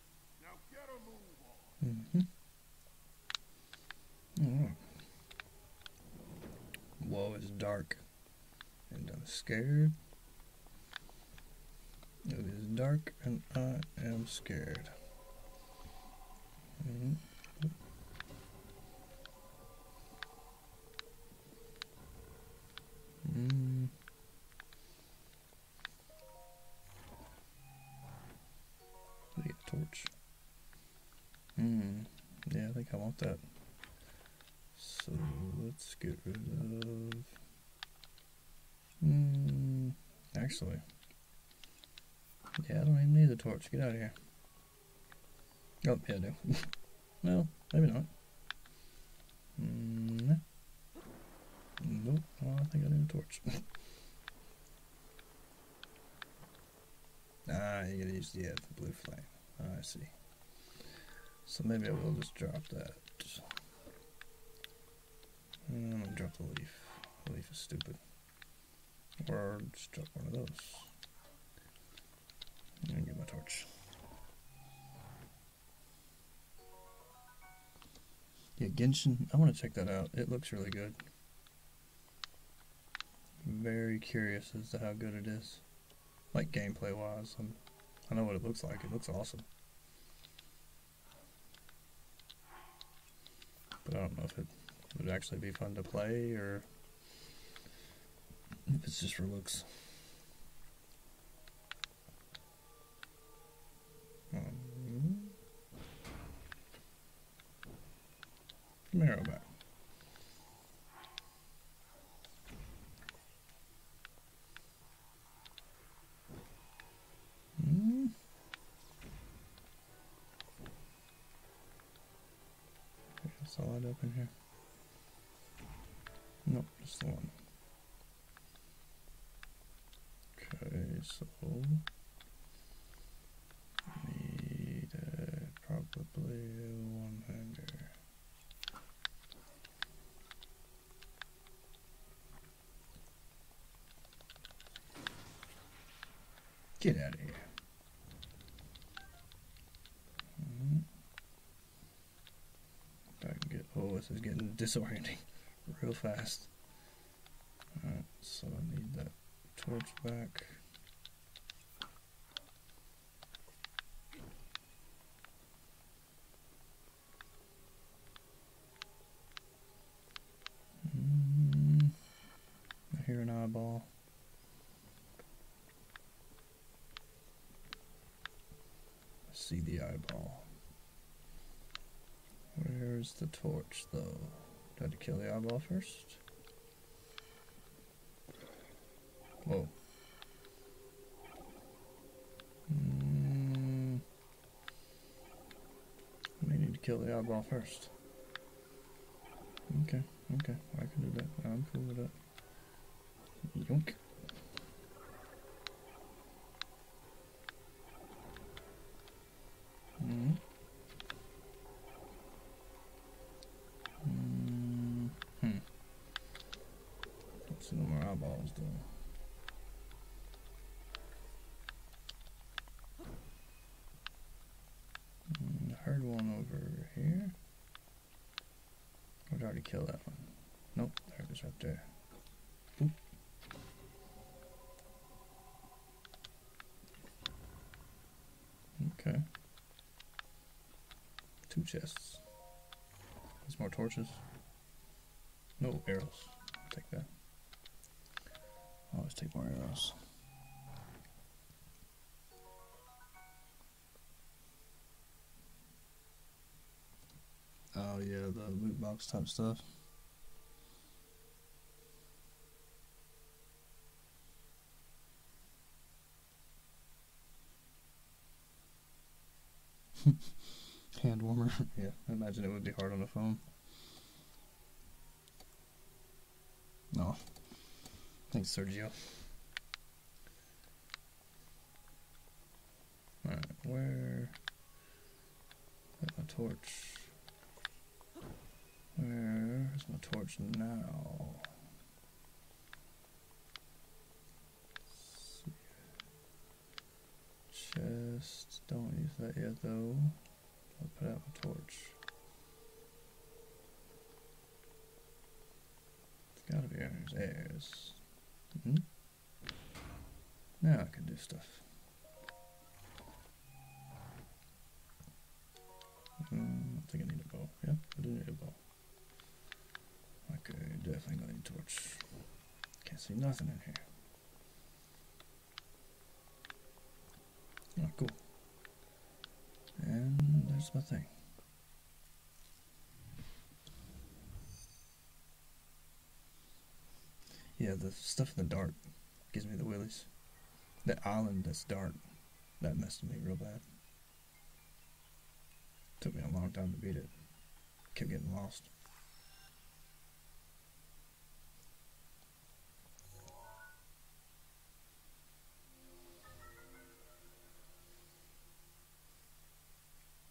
Mm-hmm. Mm -hmm. Whoa, it's dark. And I'm scared. It is dark and I am scared. Mm-hmm. Mm -hmm. Did I a torch? Hmm. Yeah, I think I want that. So let's get rid of. Hmm. Actually. Yeah, I don't even need the torch. Get out of here. Oh, yeah, do. [laughs] well, maybe not. No. Mm, nope. I think I need a torch. [laughs] ah, you gotta use the, uh, blue flame. Ah, I see. So maybe I will just drop that. Mm, i drop the leaf. The leaf is stupid. Or just drop one of those. And my torch. Yeah, Genshin. I want to check that out. It looks really good. Very curious as to how good it is. Like gameplay wise. i um, I know what it looks like. It looks awesome. But I don't know if it would actually be fun to play or if it's just for looks. Um, Marrow back. Mm. Solid up here. Nope, just the one. Okay, so need uh, probably one hanger. Get out of here. Mm-hmm. I get oh this is getting disorienting [laughs] real fast. Alright, so I need that torch back. Mm, I hear an eyeball see the eyeball. Where's the torch, though? Do I to kill the eyeball first? Whoa. Mm. We need to kill the eyeball first. Okay, okay, I can do that. I'm cool with that. Yonk. Mm. Mm. Hmm. Let's eyeballs doing. Mm, one over here. I'd already kill that one. Nope, there it is right there. Okay. Two chests. There's more torches. No arrows. i take that. I'll oh, always take more arrows. Oh yeah, the loot box type stuff. [laughs] Hand warmer. [laughs] yeah, I imagine it would be hard on the phone. No. Thanks, Sergio. where Where's my torch? Where's my torch now? Chest, don't use that yet though. I'll put out my torch. It's gotta be under his ears. -hmm. Now I can do stuff. Um, I think I need a bow. Yep, I do need a bow. Okay, definitely gonna torch. Can't see nothing in here. cool. And there's my thing. Yeah, the stuff in the dark gives me the willies. That island that's dark, that messed with me real bad. Took me a long time to beat it. Kept getting lost.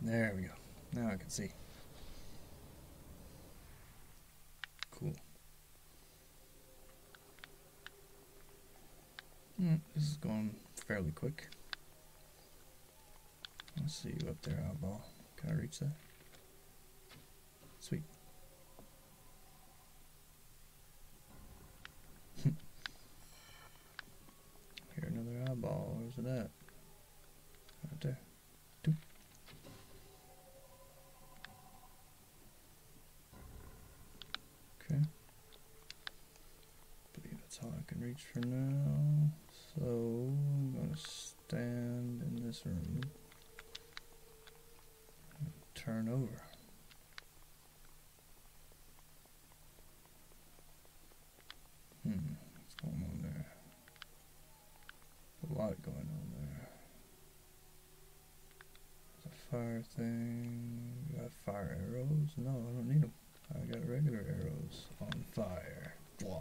There we go. Now I can see. Cool. Hmm, this is going fairly quick. I see you up there, eyeball. Got to reach that? Sweet. [laughs] Here another eyeball. Where's it at? Right Okay. I believe that's all I can reach for now. So I'm gonna stand in this room and turn over. Hmm, what's going on there? a lot going on there. There's a fire thing. got fire arrows? No, I don't need them. I got regular arrows on fire. Blah.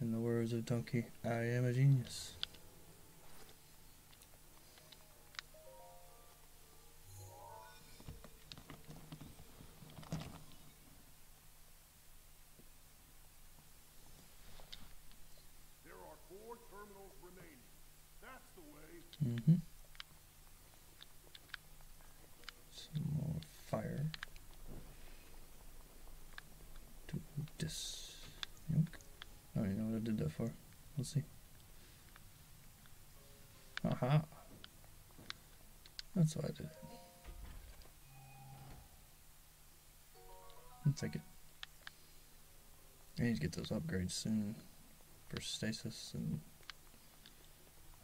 In the words of Donkey, I am a genius. Mm-hmm. Some more fire. Do this. Yoink. I don't even know what I did that for. Let's see. Aha! That's how I did it. I'll take it. I need to get those upgrades soon for stasis and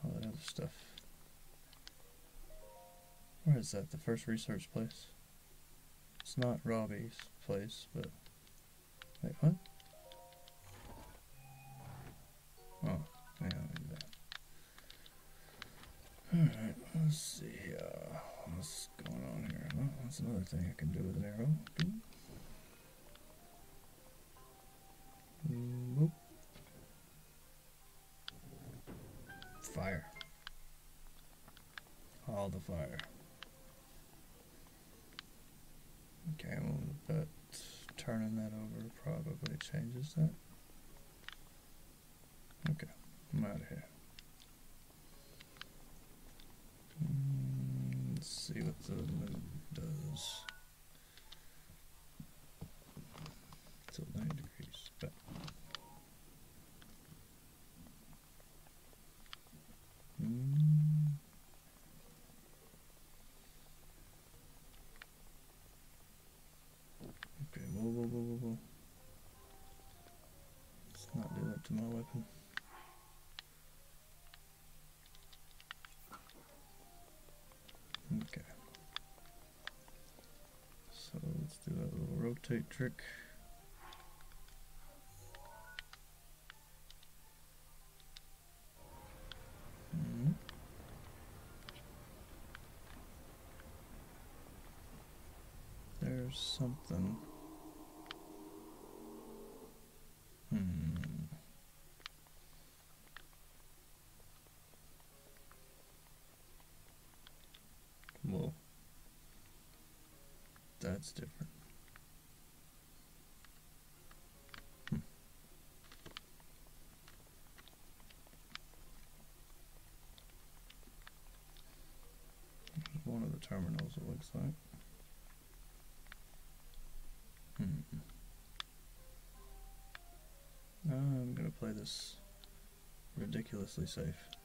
all that other stuff. Where is that? The first research place? It's not Robbie's place, but... Wait, what? Oh, yeah, do that. Alright, let's see What's going on here? Well, that's another thing I can do with an arrow. Boom. Fire. All the fire. Okay, but turning that over probably changes that. Okay, I'm out of here. Hmm, let's see what the move does. It's at 9 degrees, but Hmm. Okay, whoa, whoa, whoa, whoa, whoa. Let's not do that to my weapon. Okay. So Let's do that little rotate trick. Hmm. There's something. Hmm. Whoa. That's different. Hmm. One of the terminals, it looks like. Hmm. Uh, I'm gonna play this ridiculously safe.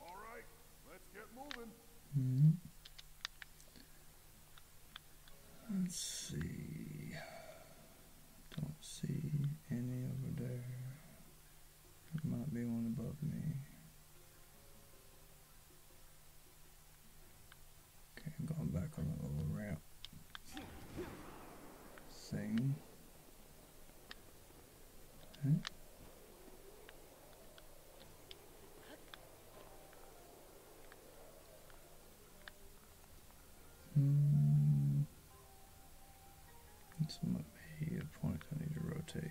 right, let's get moving. Hmm. Let's see. Don't see any over there. There might be one above me. Okay, I'm going back on the little ramp Same. Hmm. Someone may a point I need to rotate.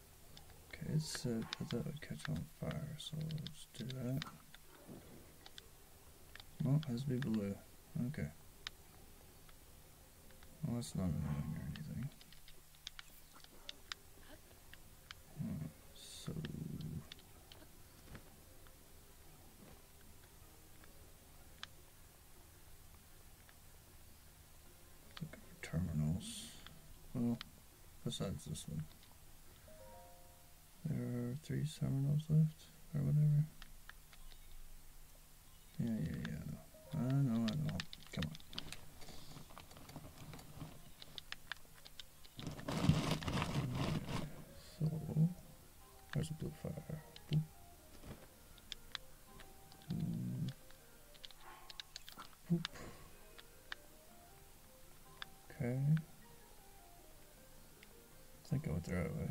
Okay, it I thought it would catch on fire, so let's do that. Well, it has to be blue. Okay. Well, that's not annoying or anything. so... Looking for terminals. Well besides this one. There are three Seminoles left, or whatever. Yeah, yeah, yeah. I know, I know. Come on. So, there's a blue fire. Okay. I think I went throw it away.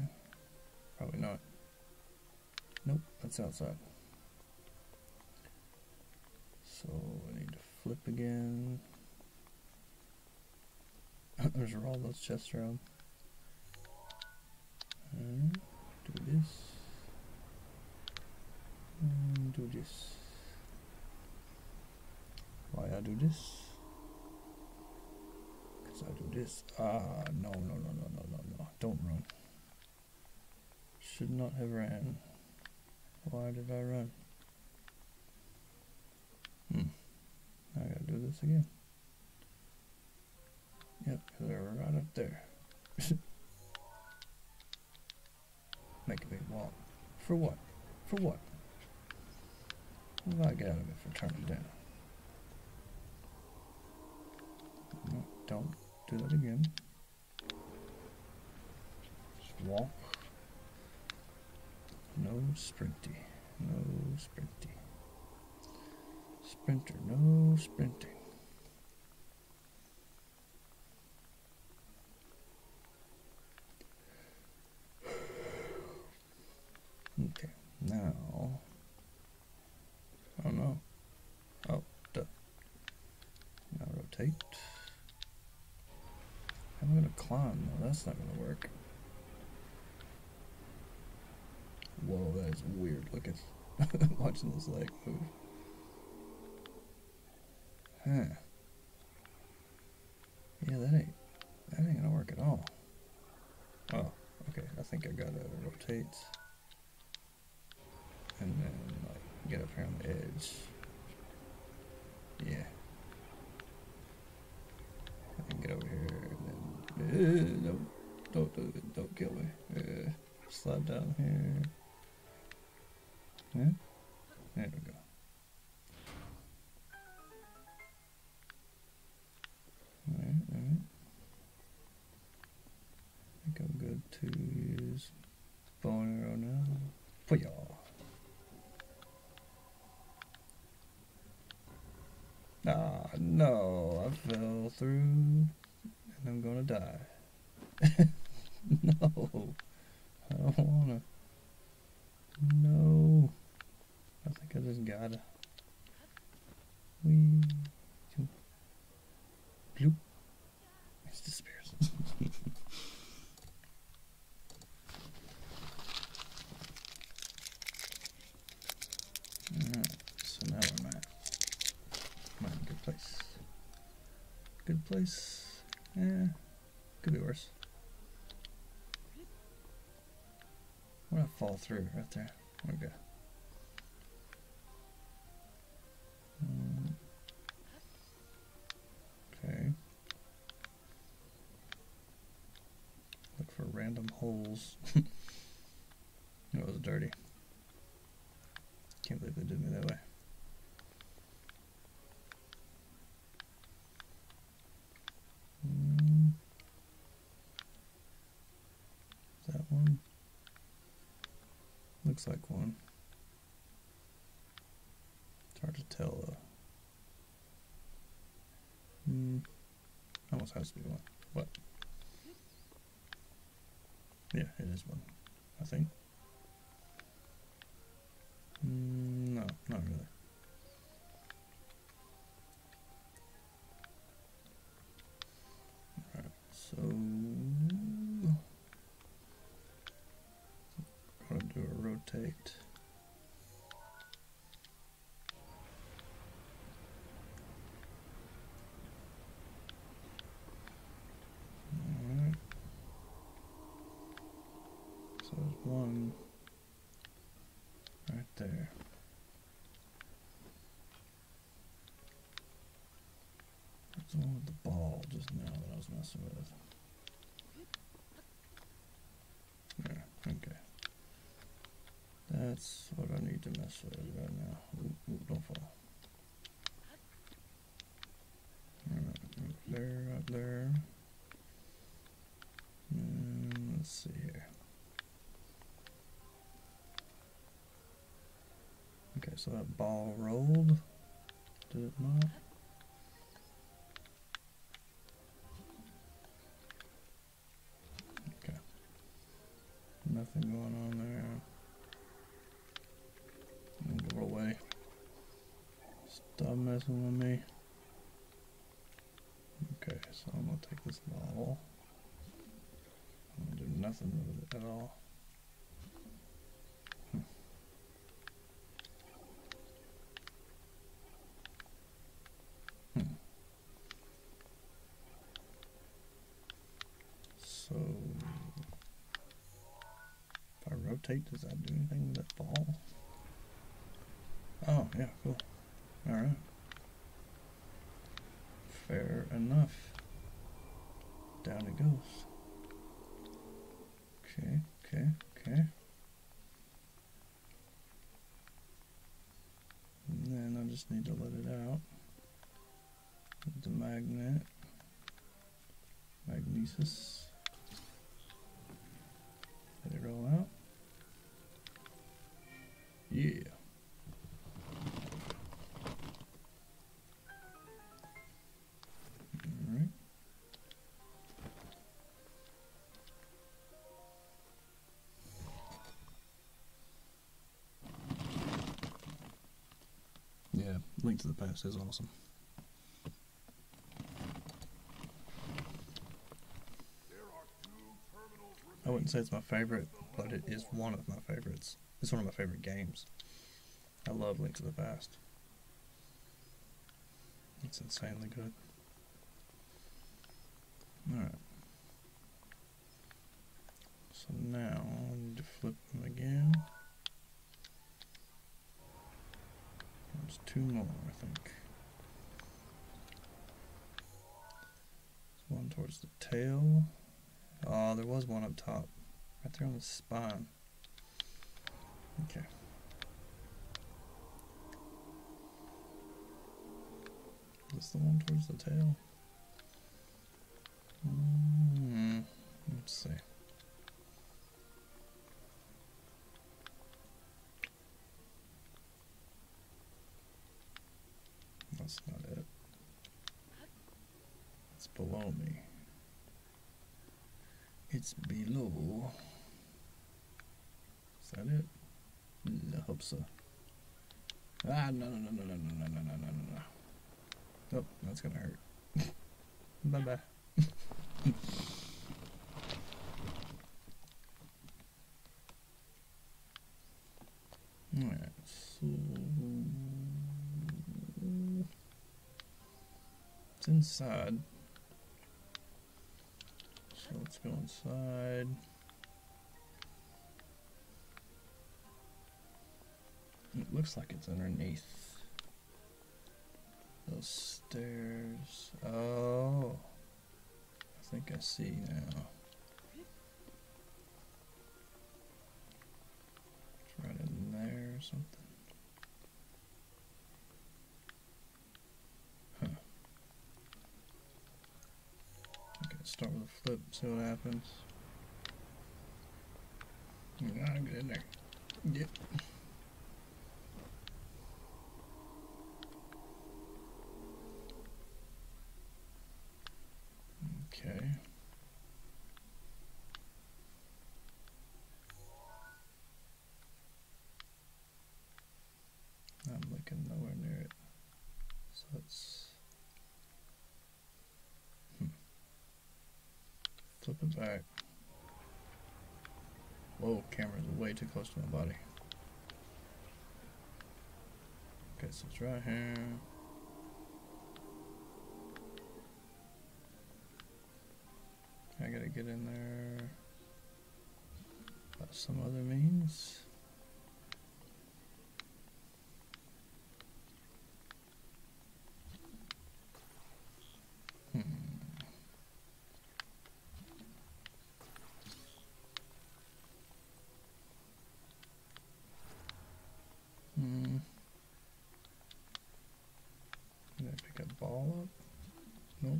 Probably not. Nope, that's outside. So I need to flip again. [laughs] There's roll those chests around. And do this. Mm, do this why I do this because I do this ah no no no no no no no don't run should not have ran why did I run hmm I gotta do this again yep they're right up there [laughs] Make a big walk. For what? For what? What do I get out of it for turning down? don't do that again. Just walk. No sprinty. No sprinty. Sprinter, no sprinting. Okay, now, I don't know, oh, duh, now rotate, I'm going to climb, no, that's not going to work, whoa, that is weird Look looking, [laughs] watching this leg move, Huh. Yeah, that ain't that ain't gonna work at all. Oh, okay. I think I gotta rotate and then like get up here on the edge. Yeah. I can get over here and then uh, don't do it, don't kill me. Eh, slide down here. Yeah? There we go. Alright, alright. I think I'm good to use bone arrow now. For y'all. Ah, no, I fell through and I'm gonna die. [laughs] no. I don't wanna. No. I think I just gotta. We. Bloop. It disappears. [laughs] Alright, so now we're in my, good place. Good place. Yeah, could be worse. I'm gonna fall through right there. There hmm. Okay. Look for random holes. it [laughs] was dirty. Can't believe they did me that way. That one looks like one. It's hard to tell though. Hmm. Almost has to be one. What? Yeah, it is one. I think. Mm, no, not really. so I'll do a rotate. So there's one right there. That's the ball just now that I was messing with. There, okay. That's what I need to mess with right now. Up there, up there. Hmm, let's see here. Okay, so that ball rolled. Did it not? Okay. Nothing going on there. Go away. Stop messing with me. Okay, so I'm gonna take this model. I'm gonna do nothing with it at all. Hmm. Hmm. If I rotate, does that do anything with that ball? Oh, yeah, cool. Alright. Fair enough. Down it goes. Okay, okay, okay. And then I just need to let it out. the magnet. Magnesis. Let it roll out. Yeah. Alright. Yeah, Link to the Past is awesome. I wouldn't say it's my favorite, but it is one of my favorites. It's one of my favorite games. I love Links of the Past. It's insanely good. Alright. So now I need to flip them again. There's two more, I think. one towards the tail. Oh, there was one up top. Right there on the spine. Okay. Is this the one towards the tail? Mm-hmm. Let's see. That's not it. It's below me. It's below. Is that it? I hope so. Ah, no, no, no, no, no, no, no, no, no, no, no. Oh, that's gonna hurt. Bye-bye so... It's inside. So let's go inside. It looks like it's underneath. Those stairs. Oh. I think I see now. right in there something. Huh. Okay, start with a flip, see what happens. Gotta get in Yep. Okay. I'm looking nowhere near it. So it's hmm. Flip it back. Whoa, camera is way too close to my body. Okay, so it's right here. I gotta get in there by some other means. Hmm. Hmm. Gonna pick a ball up? Nope.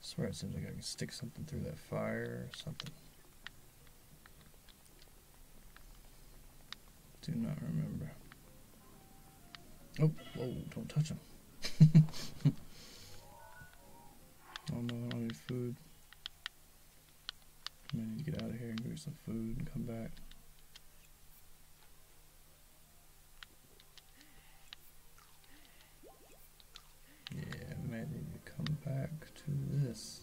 Swear it seems like I can stick something through that fire or something. Do not remember. Oh, whoa, don't touch him. [laughs] Oh, I don't know how need food. I need to get out of here and get some food and come back. Yeah, I might need to come back to this.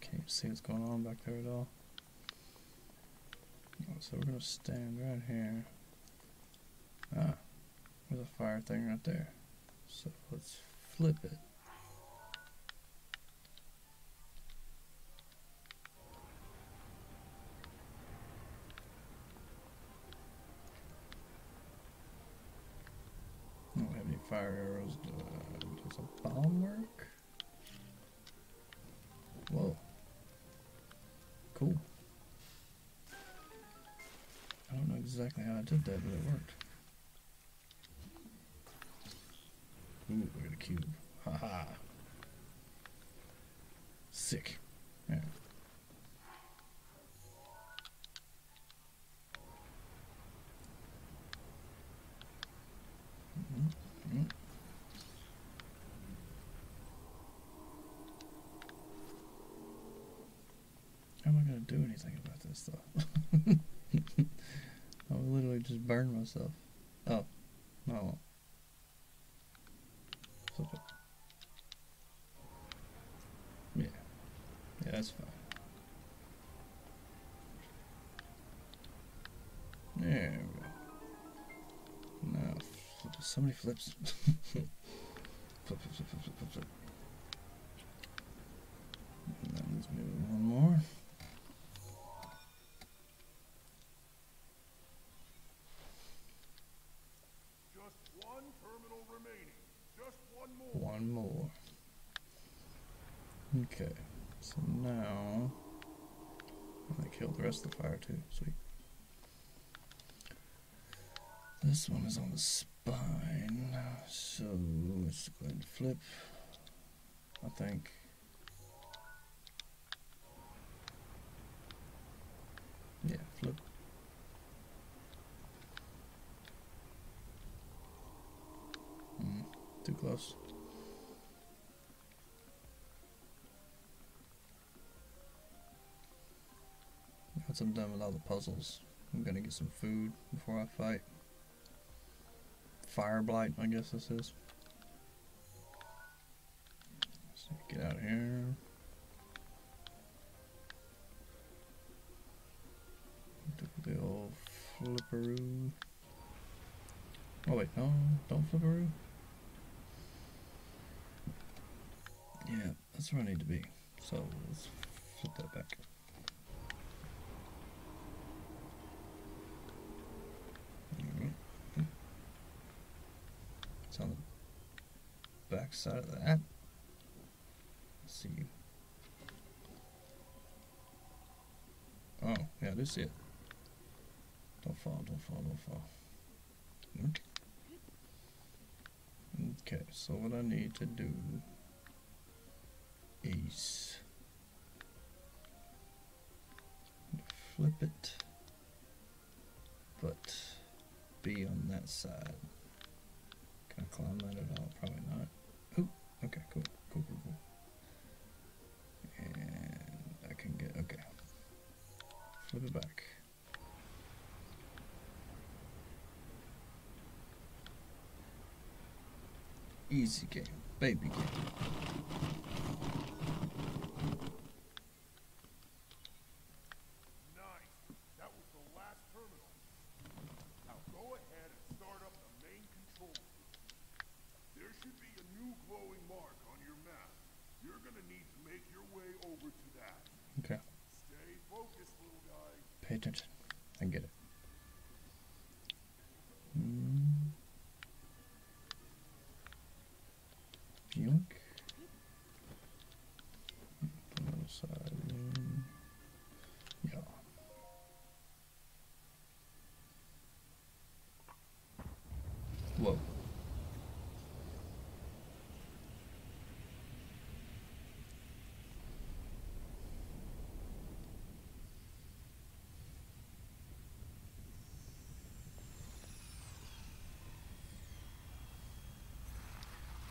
Can't see what's going on back there at all. Oh, so we're gonna stand right here. Ah, there's a fire thing right there. So let's flip it. I don't have any fire arrows. Uh, does a bomb work? Whoa. Cool. I don't know exactly how I did that, but it worked. Ooh, we got cube. Haha. -ha. Sick. Yeah. How am I going to do anything about this, though? [laughs] I would literally just burn myself. Oh, no, I Yeah. Yeah, that's fine. There we go. Now, so flips. [laughs] flip, flip, flip, one more. Just one terminal remaining. Just one more. One more. Okay, so now I'm gonna kill the rest of the fire too. Sweet. This one is on the spine, so let's go ahead and flip. I think. Yeah, flip. Mm, too close. Once I'm done with all the puzzles, I'm gonna get some food before I fight. Fire blight, I guess this is. get out of here. The old Oh wait, no, don't flip flipperoo. Yeah, that's where I need to be. So let's flip that back. It's on the back side of that. Let's see. Oh, yeah, this is it. Don't fall, don't fall, don't fall. Hmm? Okay, so what I need to do is flip it, but be on that side. Can I climb that at all? Probably not. Okay, cool, cool, cool, cool. And I can get okay. Flip it back. Easy game, baby game. go ahead and start up the main control there should be a new glowing mark on your map. You're gonna need to make your way over to that. Okay. Stay Pay attention. I get it. Mm. Bunk. Hmm, hmm. Yeah. Whoa.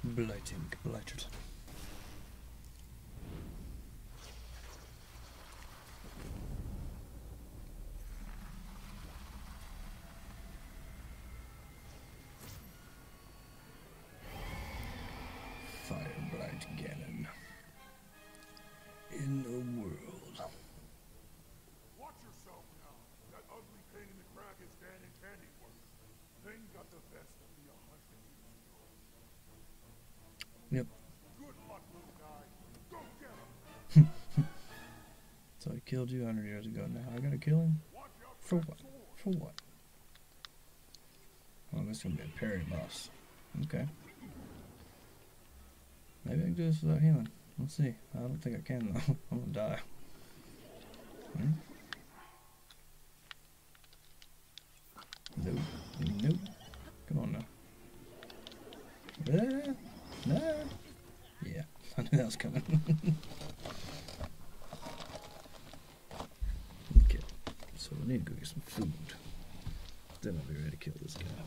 Blighting, blighted. Firebright Ganon. In the world. Watch yourself now. That ugly pain in the crack is Dan and Candy work. got the best of me a hundred years Yep. [laughs] so I killed you 100 years ago. Now I gotta kill him? For what? For what? Oh, this is gonna be a parry boss. Okay. Maybe I can do this without healing. Let's see. I don't think I can though. [laughs] I'm gonna die. Hmm? Nope. Nope. Come on now. Ah, nah. Yeah, [laughs] I knew that was coming. [laughs] okay, so we need to go get some food. Then I'll be ready to kill this guy.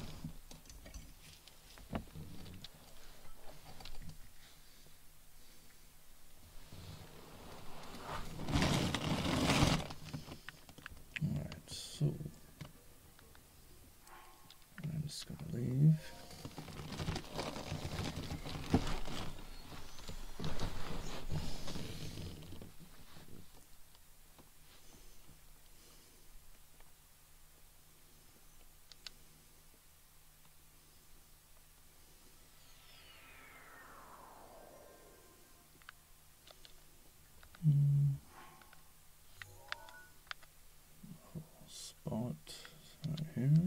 Alright, so I'm just gonna leave. Spot right here.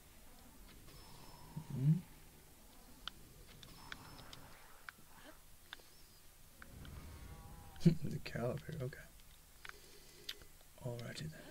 Hmm? the caliber, okay. Alrighty then.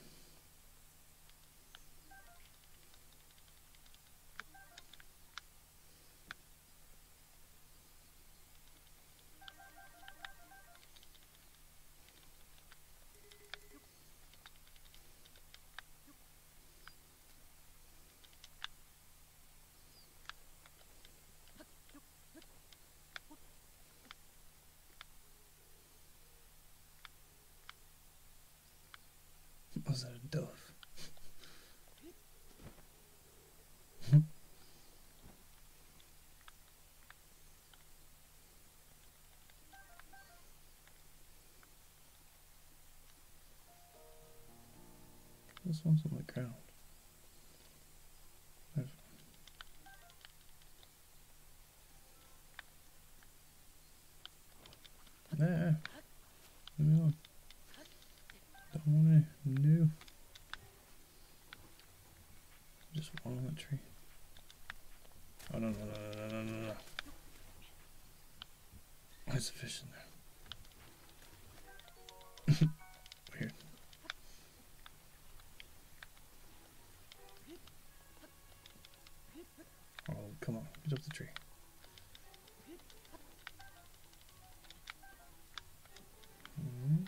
Was that a dove? This one's on the ground. I've Nah, Don't want to new. Just one on the tree. Oh no no no no no no no! There's a fish in there. [laughs] Weird. Oh, come on, get up the tree. -hmm.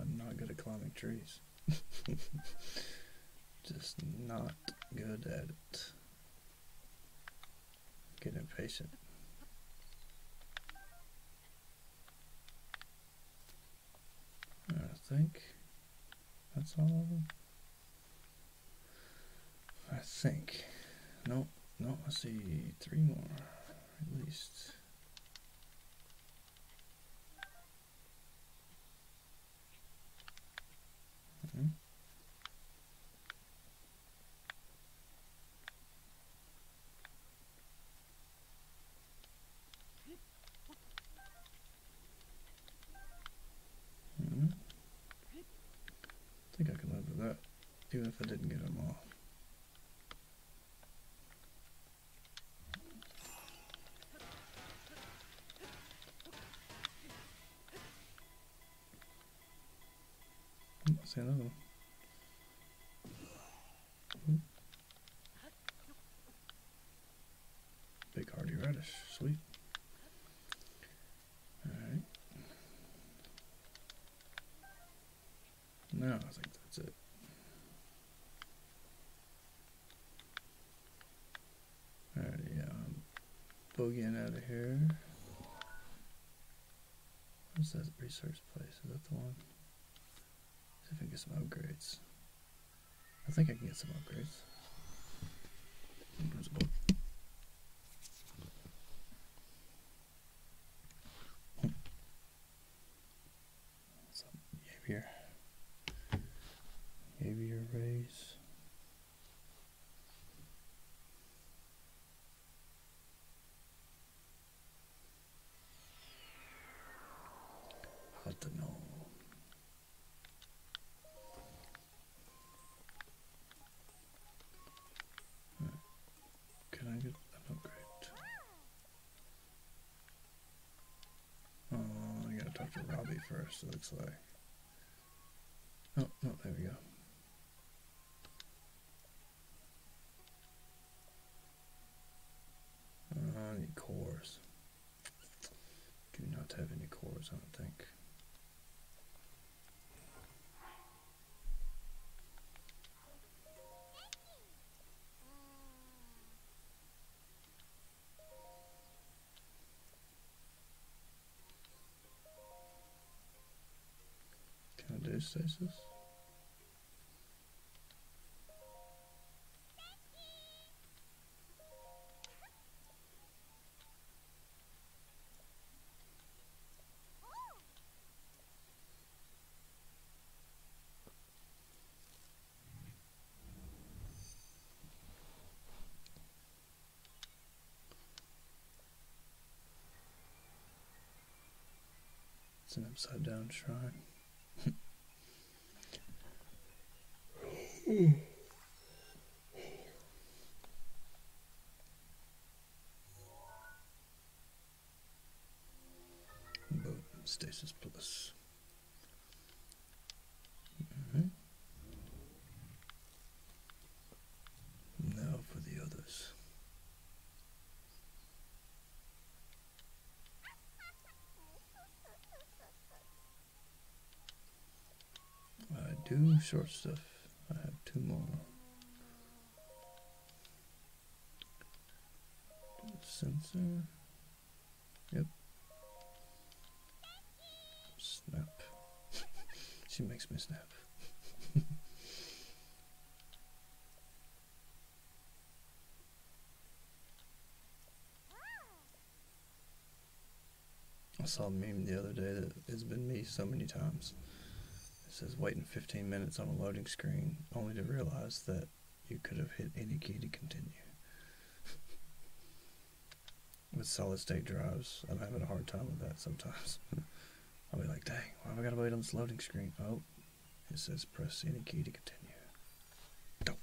I'm not good at climbing trees. [laughs] Just not good at it. Get impatient. I think that's all I think. No, no, I see three more at least. -hmm. Hmm. I think I could live with that, even if I didn't get them all. I hmm, see Big hardy radish, sweet. Alright. No, I think that's it. Alright, yeah, I'm um, bogeying out of here. What's that research place? Is that the one? I think I can get some upgrades. I think I can get some upgrades. What's up? Behavior. Behavior raise. I don't know. Hmm. Can I get an upgrade? Oh, I gotta talk to Robbie first, it looks like. Oh, no, there we go. Uh, any cores? Do not have any cores, I don't think. Can I do stasis? It's an upside down shrine. [laughs] Stasis Plus. Now for the others. I do short stuff. I have two more. Sensor. Yep. Snap. [laughs] she makes me snap. [laughs] I saw a meme the other day that has been me so many times. It says waiting 15 minutes on a loading screen only to realize that you could have hit any key to continue. [laughs] with solid state drives, I'm having a hard time with that sometimes. [laughs] I'll be like, dang, why have I got to wait on this loading screen? Oh, it says press any key to continue. No.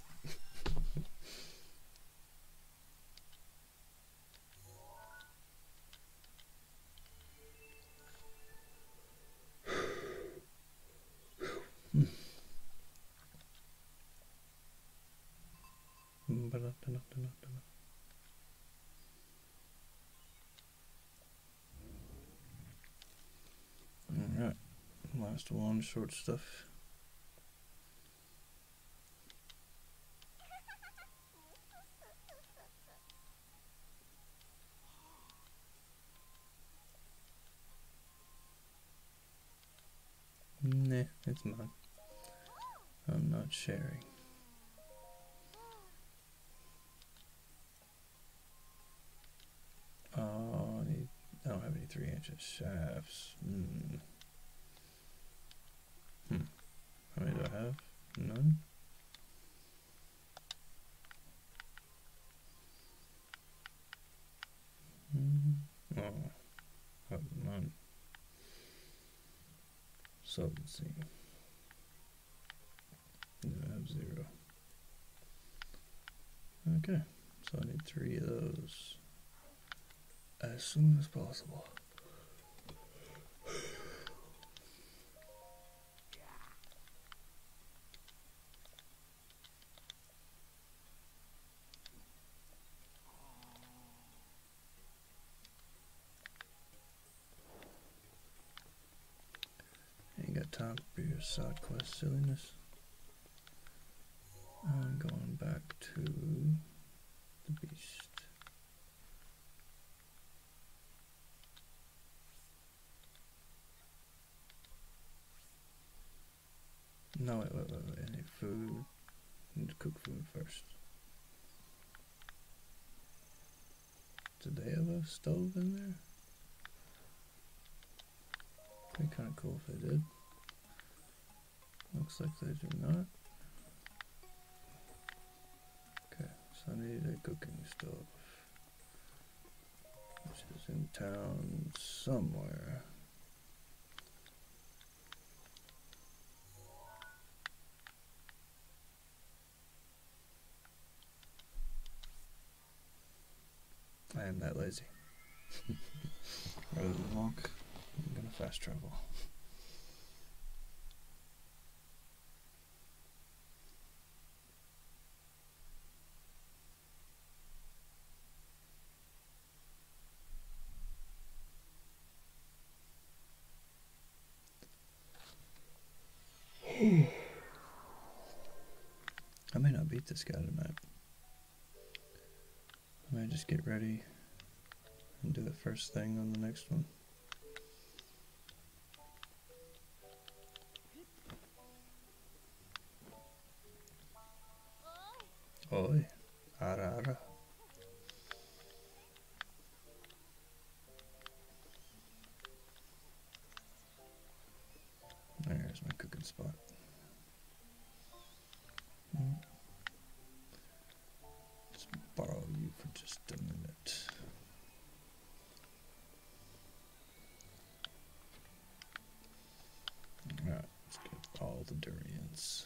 Alright, last one, short stuff. Nah, it's mine. I'm not sharing. Oh, I, don't have any three inch shafts. Hmm. hmm. How many do I have? None. Mm. Oh, I have none. Subtlety. I have zero. Okay, so I need three of those as soon as possible. Ain't got time for your side quest silliness and going back to the beast. No, wait, wait, wait, wait. Any food. I need to cook food first. Did they have a stove in there? Be kind of cool if they did. Looks like they do not. Okay, so I need a cooking stuff. This is in town somewhere. I am that lazy. [laughs] I'm gonna fast travel. [sighs] I may not beat this guy tonight. I might just get ready and do the first thing on the next one. Oi, ara ara. There's my cooking spot. let borrow you for just a minute. Alright, let's get all the durians.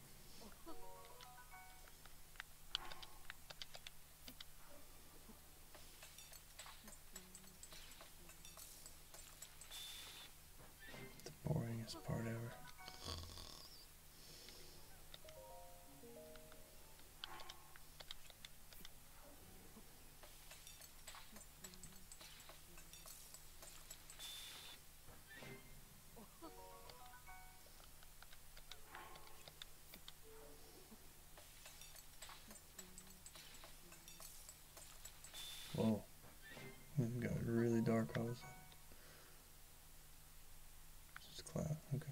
the boringest part ever. Whoa. It got really dark all of a sudden. It's just cloud, okay.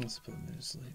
Let's put me to sleep.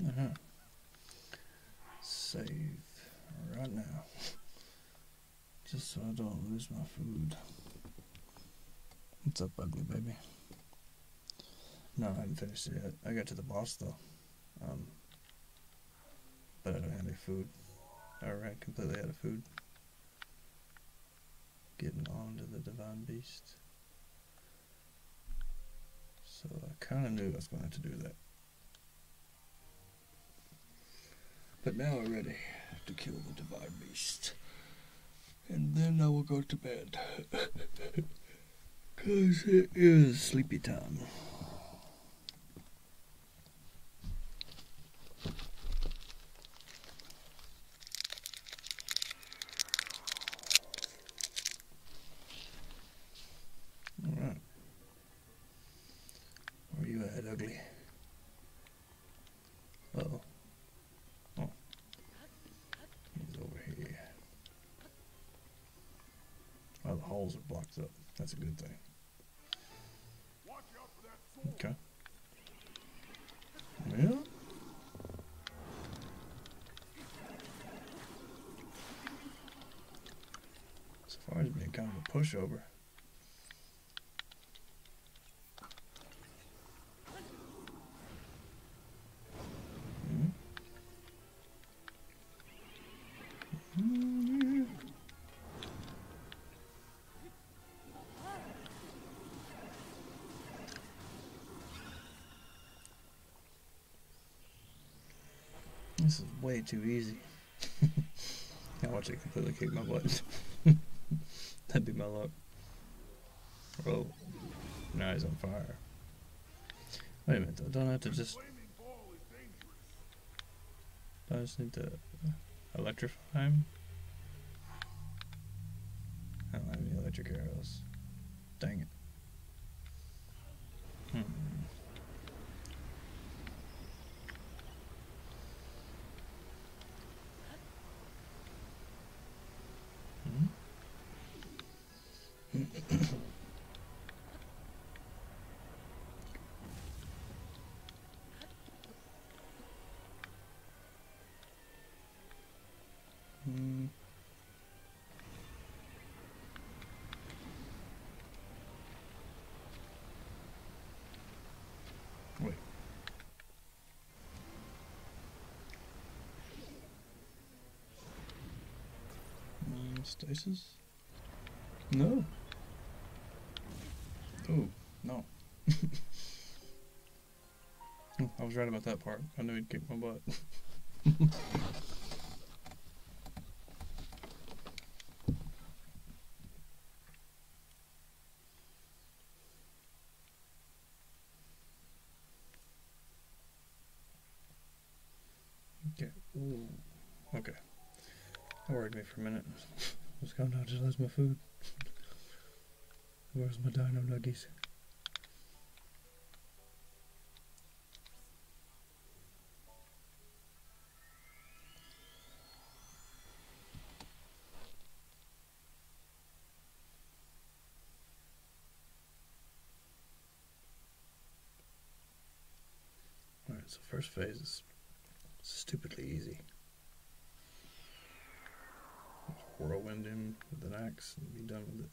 Uh mm-hmm. -huh. Save right now. Just so I don't lose my food. What's up, ugly baby? No, I haven't finished it yet. I got to the boss though. Um, but I don't have any food. Alright, completely out of food. Getting on to the Divine Beast. So I kind of knew I was going to do that. But now I'm ready to kill the divine beast. And then I will go to bed. Because [laughs] it is sleepy time. All right. Are you at, ugly? oh. Oh. He's over here. Oh, the holes are blocked up. That's a good thing. Okay. Yeah. So Safari's been kind of a pushover. This is way too easy. [laughs] I watch it completely kick my butt. [laughs] That'd be my luck. Oh, now he's on fire. Wait a minute, I don't have to just... I just need to electrify him? I don't have any electric arrows. Dang it. Hmm. mm Wait. Mm, stasis? No. Oh, no. [laughs] I was right about that part. I knew he'd kick my butt. [laughs] Okay. Ooh. Okay. That worried me for a minute. [laughs] What's going on? I just lost my food. Where's my dino nuggies? Alright, so first phase is stupidly easy. whirlwind him with an axe and be done with it.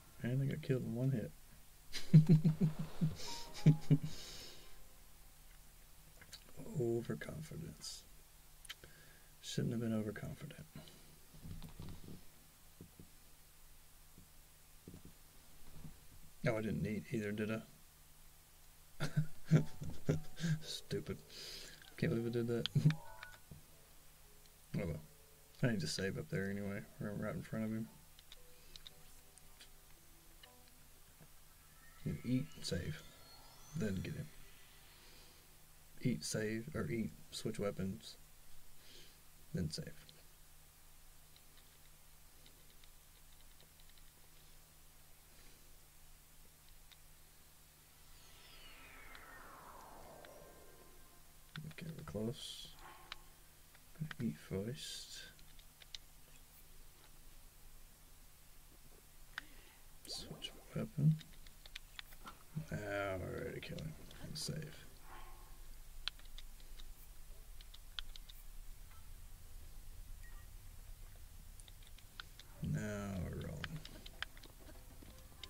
I they got killed in one hit. [laughs] overconfidence. Shouldn't have been overconfident. No, oh, I didn't eat either, did I? [laughs] Stupid. Can't believe I did that. [laughs] I need to save up there anyway. right in front of him. eat, save. Then get him. Eat, save, or eat, switch weapons. Then save. Okay, we're close. Eat first. Switch weapon. Now ah, we're ready to kill him. save. Now we're rolling.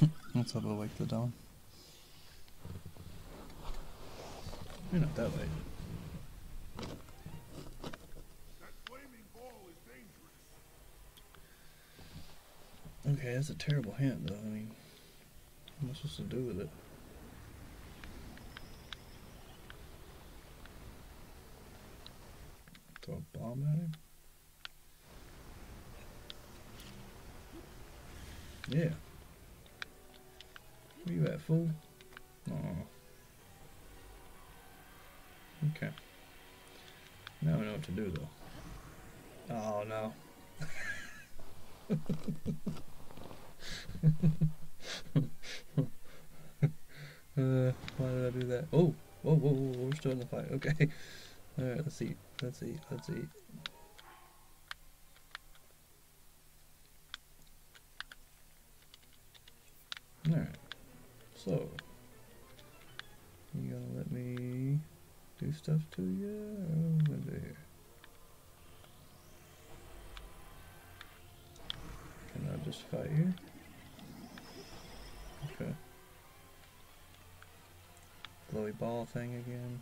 [laughs] Let's hope a wake the dawn. You're not that late. okay, that's a terrible hint, though. I mean, what am I supposed to do with it? Throw a bomb at him? Yeah. Were you at full? Oh. Okay. Now I know what to do though. Oh no. [laughs] Uh, why did I do that? Oh, oh, oh, we're still in the fight. Okay. [laughs] All right, let's see. Let's see. Let's see. Alright, so you gonna let me do stuff to you? Can I just fight you? Okay. Glowy ball thing again.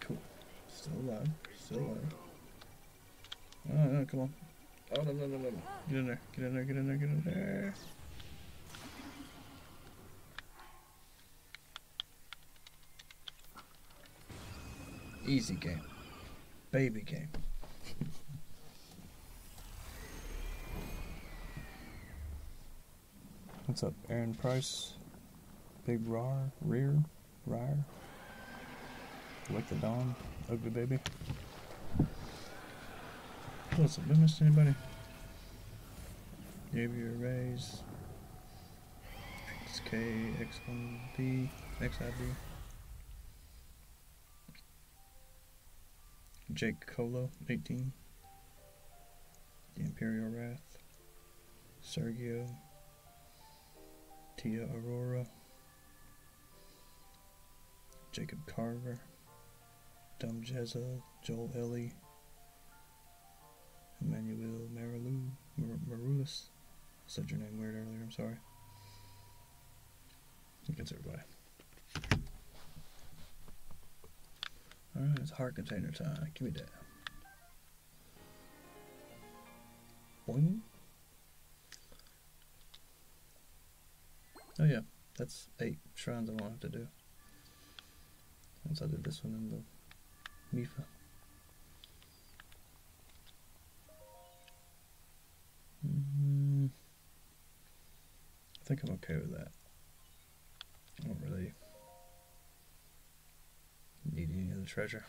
Cool. Still alive. Still alive. Oh, come on. Oh, no, no, no, no, no. Get in there. Get in there. Get in there. Get in there. Easy game. Baby game. [laughs] What's up, Aaron Price? Big Rar, Rear, Ryer, Like the Dawn, Ugly Baby. What's up, did miss anybody? Gave you raise. XK, X1B, XIB. Jake Colo, 18. The Imperial Wrath. Sergio. Tia Aurora. Jacob Carver. Dumb Jezza. Joel Ellie. Emmanuel Marilu. Marulis. I said your name weird earlier, I'm sorry. I everybody. Alright, it's hard container time. Give me that. Oh yeah, that's eight shrines I will to do. Once I did this one in the Mifa. Mm-hmm. I think I'm okay with that. I don't really need any of the treasure.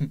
[laughs]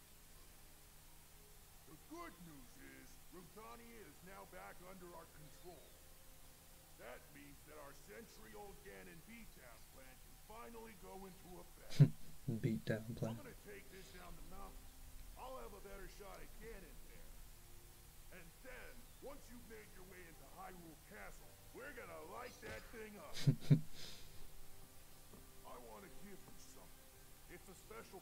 The good news is, Ruthani is now back under our control. That means that our century-old Ganon beatdown plan can finally go into effect. [laughs] beatdown plan. I'm gonna take this down the mountain. I'll have a better shot at Ganon there. And then, once you've your way into Hyrule Castle, we're gonna light that thing up. [laughs] I want to give you something. It's a special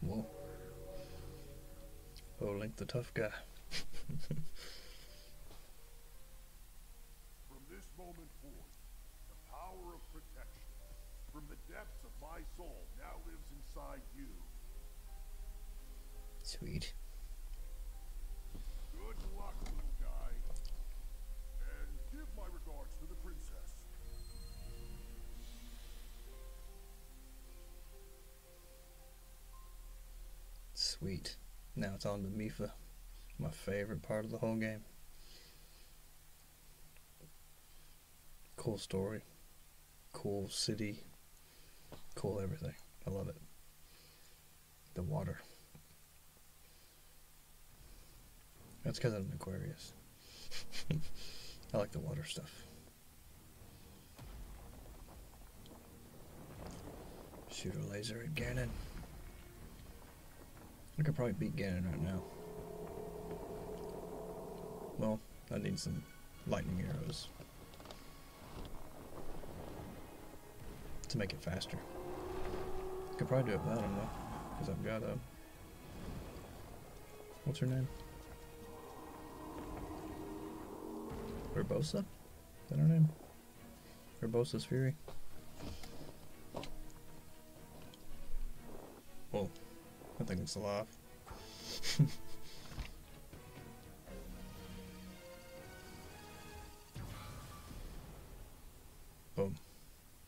Whoa. Oh, Link the tough guy. [laughs] from this moment forth, the power of protection from the depths of my soul now lives inside you. Sweet. Good luck, guy. And give my regards to the princess. Sweet. Now it's on to Mifa, my favorite part of the whole game. Cool story, cool city, cool everything. I love it. The water. That's because I'm an Aquarius. [laughs] I like the water stuff. Shoot a laser at Ganon. I could probably beat Ganon right now. Well, I need some lightning arrows to make it faster. I could probably do it without them though, because I've got a What's her name? Verbosa? Is that her name? Verbosa's Fury. Oh, I think it's alive. [laughs] Boom.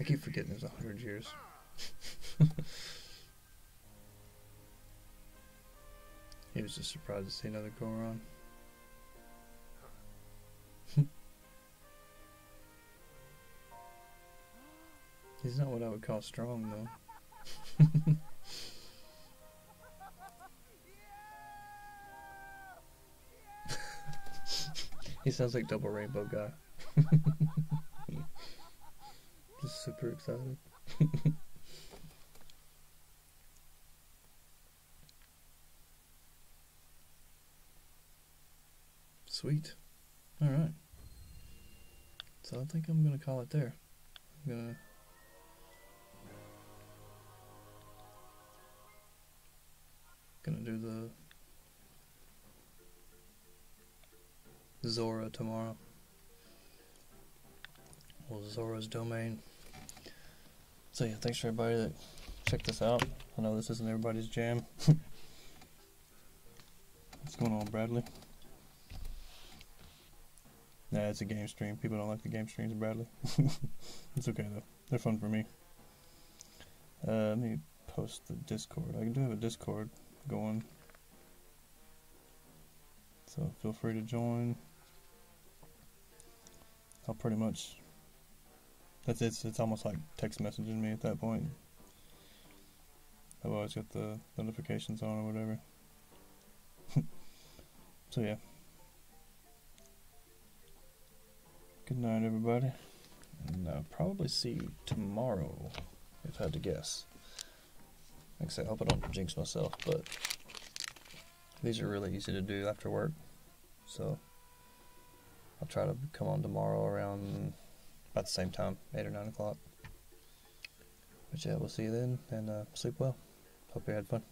I keep forgetting there's a hundred years. [laughs] he was just surprised to see another Goron. [laughs] He's not what I would call strong, though. [laughs] he sounds like Double Rainbow Guy that. [laughs] Just super excited. [laughs] Sweet. Alright. So I think I'm going to call it there. I'm going to. Gonna do the Zora tomorrow. Well, Zora's domain. So yeah, thanks for everybody that checked this out. I know this isn't everybody's jam. [laughs] What's going on, Bradley? Nah, it's a game stream. People don't like the game streams, Bradley. [laughs] it's okay though. They're fun for me. Uh, let me post the Discord. I do have a Discord going. So feel free to join. I'll pretty much that's it's it's almost like text messaging me at that point. I've always got the notifications on or whatever. [laughs] so yeah. Good night everybody. And I'll uh, probably see you tomorrow, if I had to guess. I hope I don't jinx myself, but these are really easy to do after work. So I'll try to come on tomorrow around about the same time, 8 or 9 o'clock. But yeah, we'll see you then, and uh, sleep well. Hope you had fun.